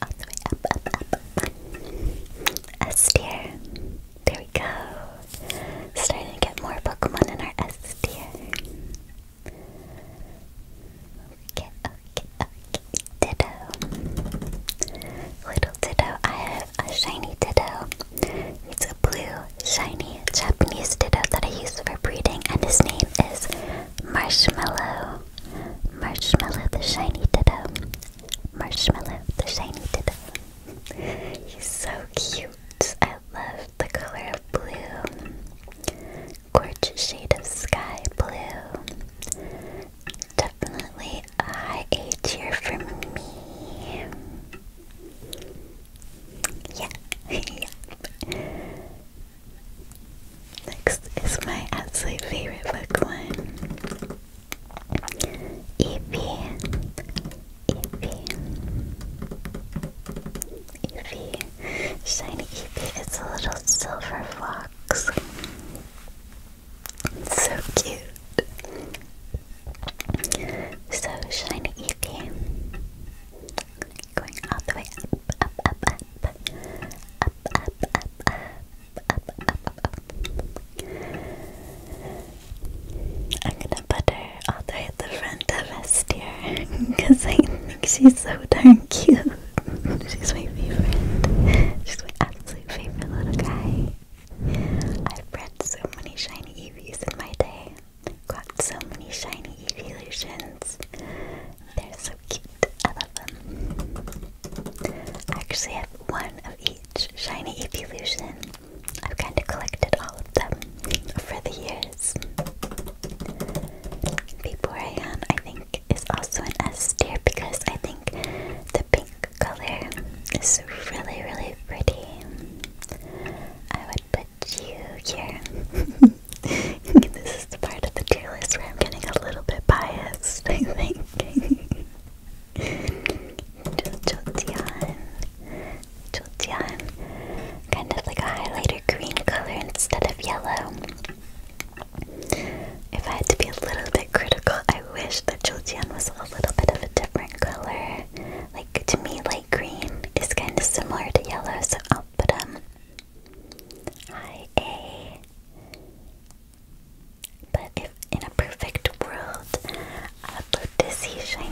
All the way up, up, up, up. There we go. Starting to get more Pokemon in our S tier. Okay, okay, okay. Ditto. Little Ditto. I have a shiny Ditto. It's a blue, shiny Japanese ditto that I use for breeding, and his name is Marshmallow. Marshmallow the shiny ditto. Marshmallow the shiny ditto. He's so cute. I love the color of blue. Gorgeous shade of sky blue. Definitely a high A tier for me. Yeah, yeah. Next is my absolute favorite One, Eevee. Eevee. Eevee. Shiny Eevee is a little silver fox. so cute. So shiny okay. Going all the way up, up, up, up, up, up, up, up, up, up, I'm gonna put all the way at the front of us, because I think she's so darn cute. she's my favorite. She's my absolute favorite little guy. I've bred so many shiny EVs in my day. Got so many shiny evolutions. They're so cute. I love them. I actually have one of each shiny evolution. I've kind of collected all of them over the years. Vaporeon, I think, is also an S tier because I think the pink color is really, really pretty. I would put you this is the part of the tier list where I'm getting a little bit biased, I think. Jolteon. Jolteon. Kind of like a highlighter green color instead of yellow. If I had to be a little bit critical, I wish that Jolteon was a little bit of a different color. Like, to me, light green is kind of similar to yellow, so I'll put um, But if in a perfect world, I would love to see Shiny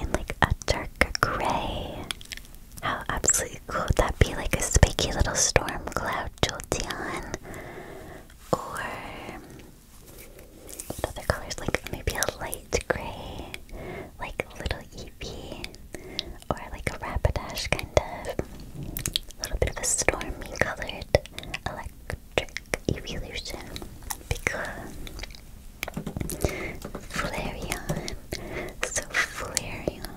in like a dark gray. How absolutely cool would that be? Like a spiky little storm cloud Jolteon. Or other colors? Like maybe a light gray, like a little Eevee, or like a Rapidash kind of. A little bit of a stormy colored electric evolution. Be cool. Flareon. So Flareon.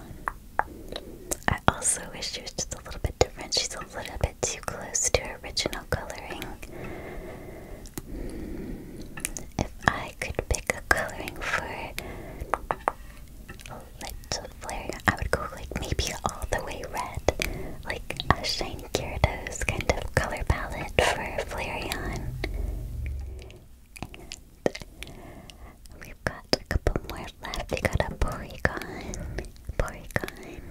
I also wish she was just a little bit different. She's a little bit too close to her original coloring. If I could pick a coloring for Little Flare, I would go like maybe all the way red, like a shiny Gyarados kind of color palette for Flareon. we've got a couple more left. We got a Porygon. Porygon.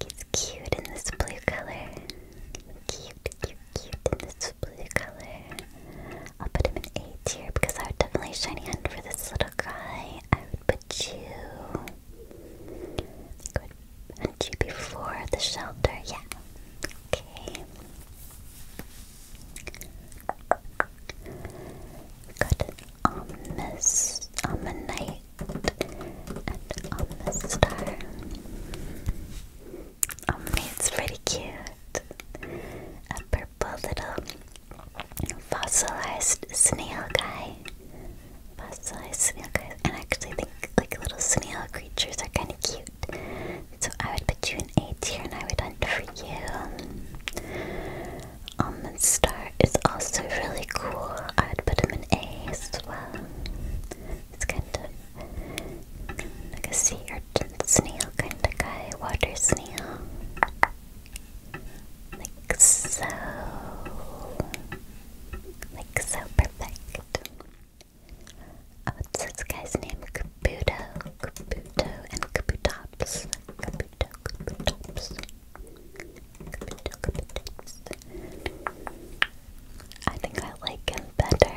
It's cute in this blue color. Cute, cute, cute in this blue color. I'll put him in A tier because I would definitely shiny hunt for this little guy. I would put you. I would hunt you before the shelter. Yeah. Okay. Got an ominous, ominite, and ominous star. Um, it's pretty cute. A purple little fossilized snail guy. Fossilized snail guys. And I actually think like little snail creatures are kind of cute. So I would put you in A here, and I would hunt for you. Um, Almond Star is also really cool. I would put him in A as well. It's kind of like a sea urchin snail kind of guy, water snail. Like so. Like so perfect. Oh, this guy's name Kabuto. Kabuto and Kabutops. Kabuto, Kabutops. Kabuto, Kabutops. I think I like him better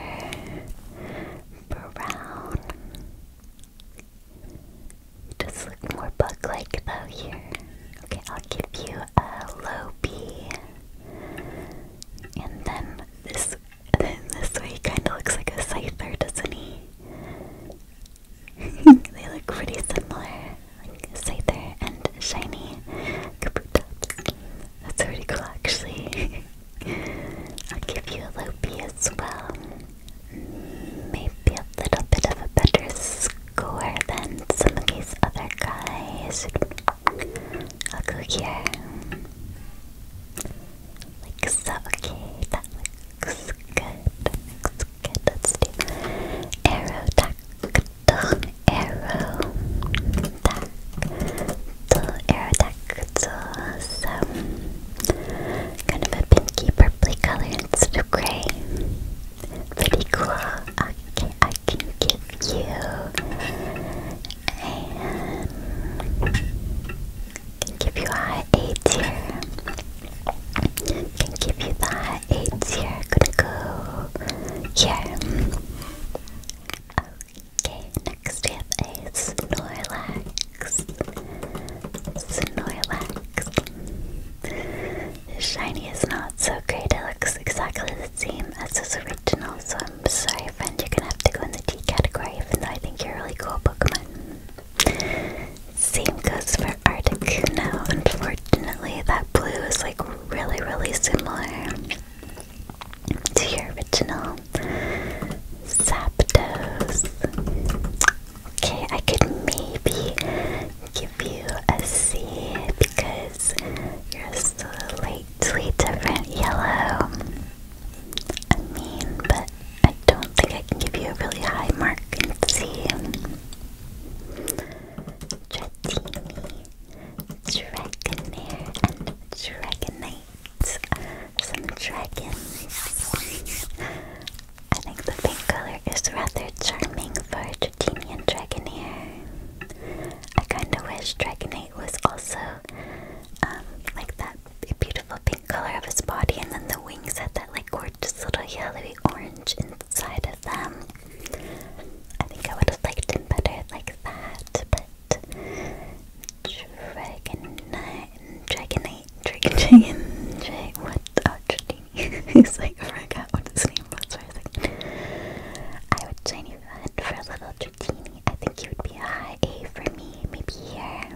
brown. just look more bug-like though here. Okay, I'll give you a low B. And then this then this way kinda looks like a scyther, doesn't he? they look pretty similar. Like scyther and shiny Kabutops. That's really cool, actually. I'll give you a loopy as well. Maybe a little bit of a better score than some of these other guys. I'll go here. Like so, okay, that looks good. Looks good. Let's do arrow attack to arrow attack to some kind of a pinky purpley color instead of gray. Pretty cool. Okay, I can give you and give you a high A Can give you the high A Gonna go here. Okay, next we have a Snorlax. Snorlax. Shiny is not so great, it looks exactly the same as his original, so I'm sorry, friend, you're gonna have to go in the D category, even though I think you're really cool Pokemon. Same goes for Articuno. Unfortunately, that blue is like really, really similar to your original Zapdos. Okay, I could maybe give you a C because you're slightly different yellow. I mean, but I don't think I can give you a really high mark in C. Dratini. Dragonair and Dragonite. Some dragons. I think the pink color is rather charming for a Tritemian Dragonair. I kinda wish Dragonite was also um, like that beautiful pink color of his body and then the wings had that like gorgeous little yellowy orange inside of them. I think I would have liked him better like that, Dragon Dragonite, Dragon Dragon, Dragon, what? Oh, Dratini. He's like, I forgot what his name was for a second. I would train you that for a little Dratini. I think you would be a high A for me, maybe here.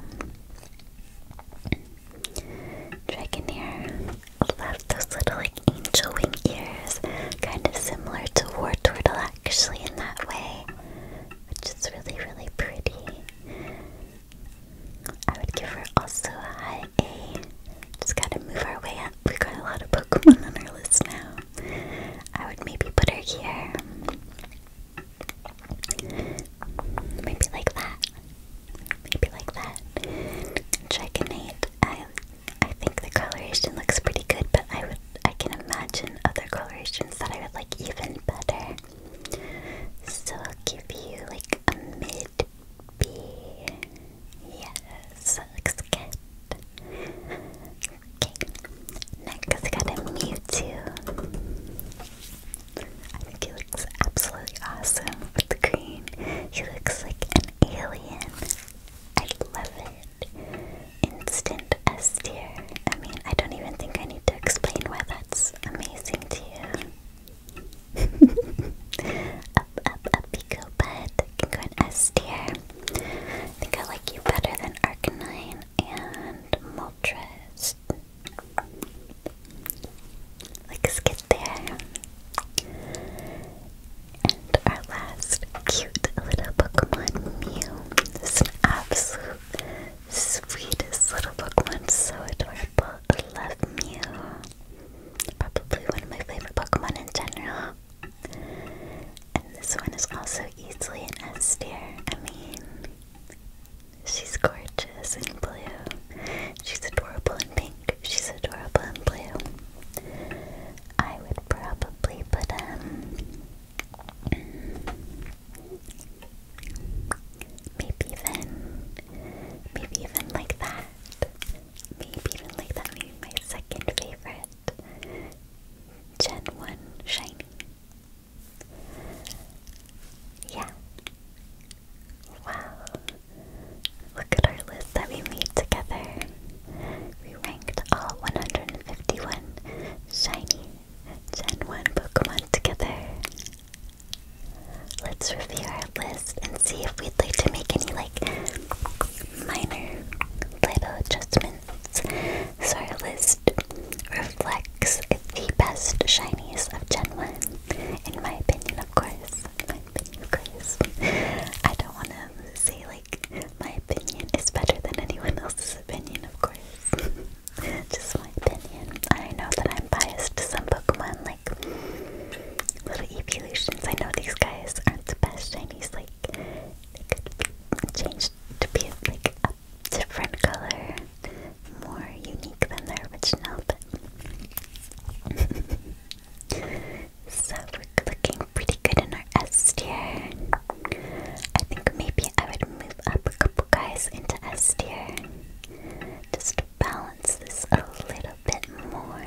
Dragonair left those little like angel wing ears, kind of similar to War Tortilla actually in that way, which is really, really pretty. I would give her also a high A. Just gotta move our way up. we got a lot of Pokemon on our list now. I would maybe put her here. Maybe like that. Maybe like that. Dragonite. I I think the coloration looks pretty good, but I would I can imagine other colorations that I would like even better. So I'll give you like a mid B. Yes, looks good. Okay, next I got a Mewtwo. I think he looks absolutely awesome with the green. He looks like an alien. I love it. Instant S tier. I mean, I don't even think I need to explain why that's amazing to you. up, up, up you go, bud. S tier. I think I like you better than Arcanine and Moltres. Like, skip there our last cute little Pokemon Mew. It's an absolute sweetest little Pokemon, so adorable. I love Mew. Probably one of my favorite Pokemon in general. And this one is also easily an S I mean, she's gorgeous in blue. She's adorable in pink. She's adorable in blue. I would probably put um Maybe even, maybe even like that. Maybe even like that. Maybe my second favorite Gen 1 Shiny. Yeah. Wow. Look at our list that we made together. We ranked all 151 shiny Gen 1 Pokemon together. Let's review our list and see if we'd like to make any like minor little adjustments. So our list reflects the best shinies of Gen 1. In my opinion, of course. In my opinion, of course. I don't want to say my opinion is better than anyone else's opinion, of course. Just my opinion. I know that I'm biased to some Pokemon, like little evolutions. I know these guys aren't the best shinies, like they could change to be like a different color, more unique than their original, but so we're looking pretty good in our S tier. I think maybe I would move up a couple guys into S tier. Just to balance this a little bit more.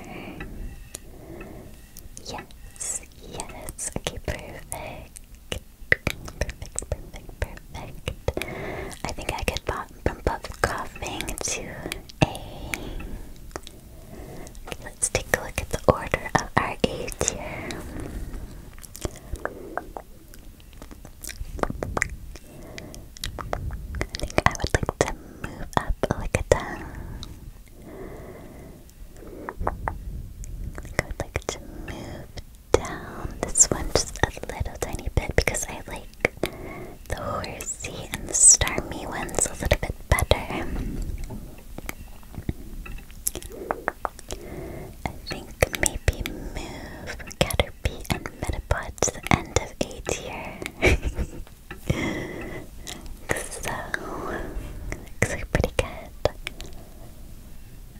Yes, yes. perfect. Perfect, perfect, perfect. I think I could bump up coughing to A. let's take a look at the order of our A tier. I think I would like to move up a down. I I would like to move down this one just a little tiny bit because I like the horsey and the stormy ones a little bit better. I think maybe move Caterpie and Metapod to the end of A tier. so, looks pretty good.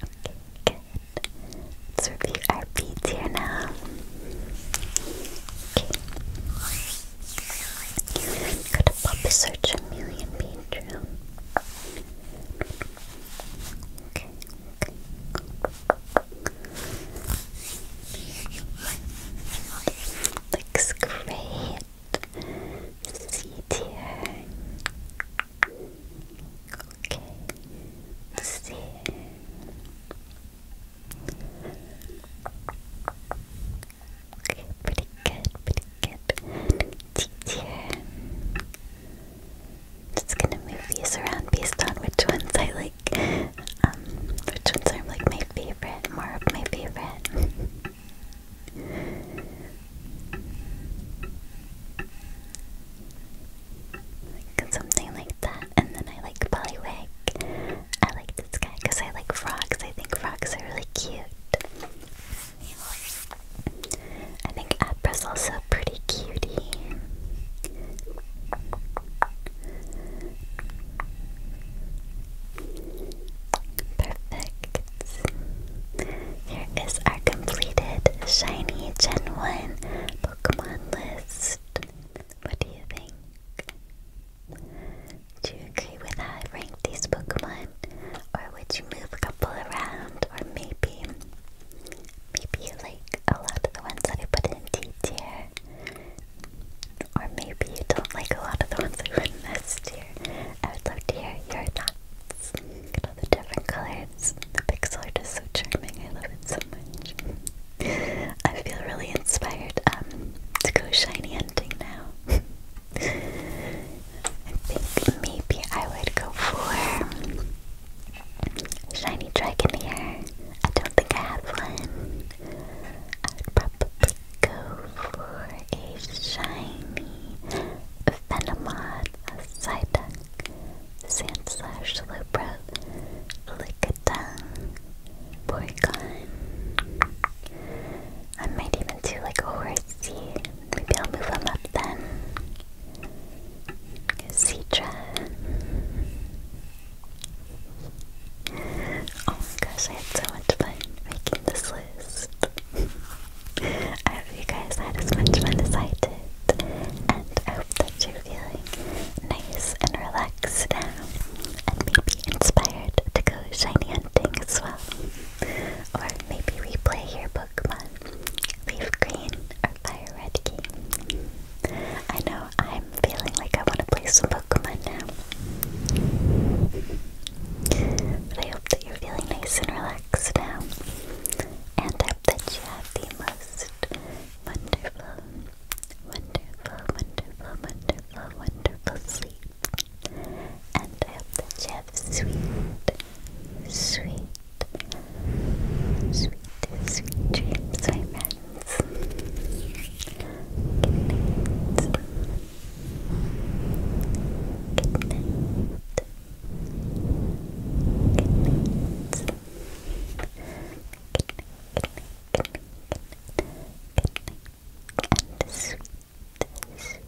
Okay, good. Let's review our B tier now. Okay. Gotta pop a search a million bedroom. Okay, Looks great. C tier. Okay. C. Okay, pretty good, pretty good. D tier. Just gonna move these around based on which ones I like, um, which ones are like my favorite, more of my favorite. like something like that, and then I like Bullywig. I like this guy because I like frogs. I think frogs are really cute. I think Apra's also pretty cutie. Perfect. Here is our completed shiny Gen 1 Pokemon list. What do you think? Do you agree with how I ranked these Pokemon? Or would you move a couple around? Or maybe, maybe you like a lot of the ones that I put in D tier. Or maybe you don't like a lot of the ones I put in S tier. I would love to hear your thoughts. Look at all the different colors. The pixel are just so charming. I love it so much. I feel really inspired um, to go shiny hunting now. I think maybe I would go for Shiny Dragonair. I don't think I have one. I would probably go for a shiny Venomod, a Psyduck, Sandslash, Slowbro, Lickitung, Porygon. I might even do like a horsey Maybe I'll move him up then. Citra. Oh my gosh, I had so much fun making this list. I hope you guys had as much fun as I did, and I hope that you're feeling nice and relaxed now, and maybe inspired to go shiny hunting as well. Or maybe replay your Pokemon Leaf Green or Fire Red game. I know I'm feeling like I want to play some Pokemon now. But I hope that you're feeling nice and relaxed now. And I hope that you have the most wonderful, wonderful, wonderful, wonderful, wonderful sleep. And I hope that you have sweet, sweet, Sweet, sweet dreams, my friends. Good night. Good night. Good night. And sweet, sweet,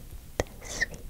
sweet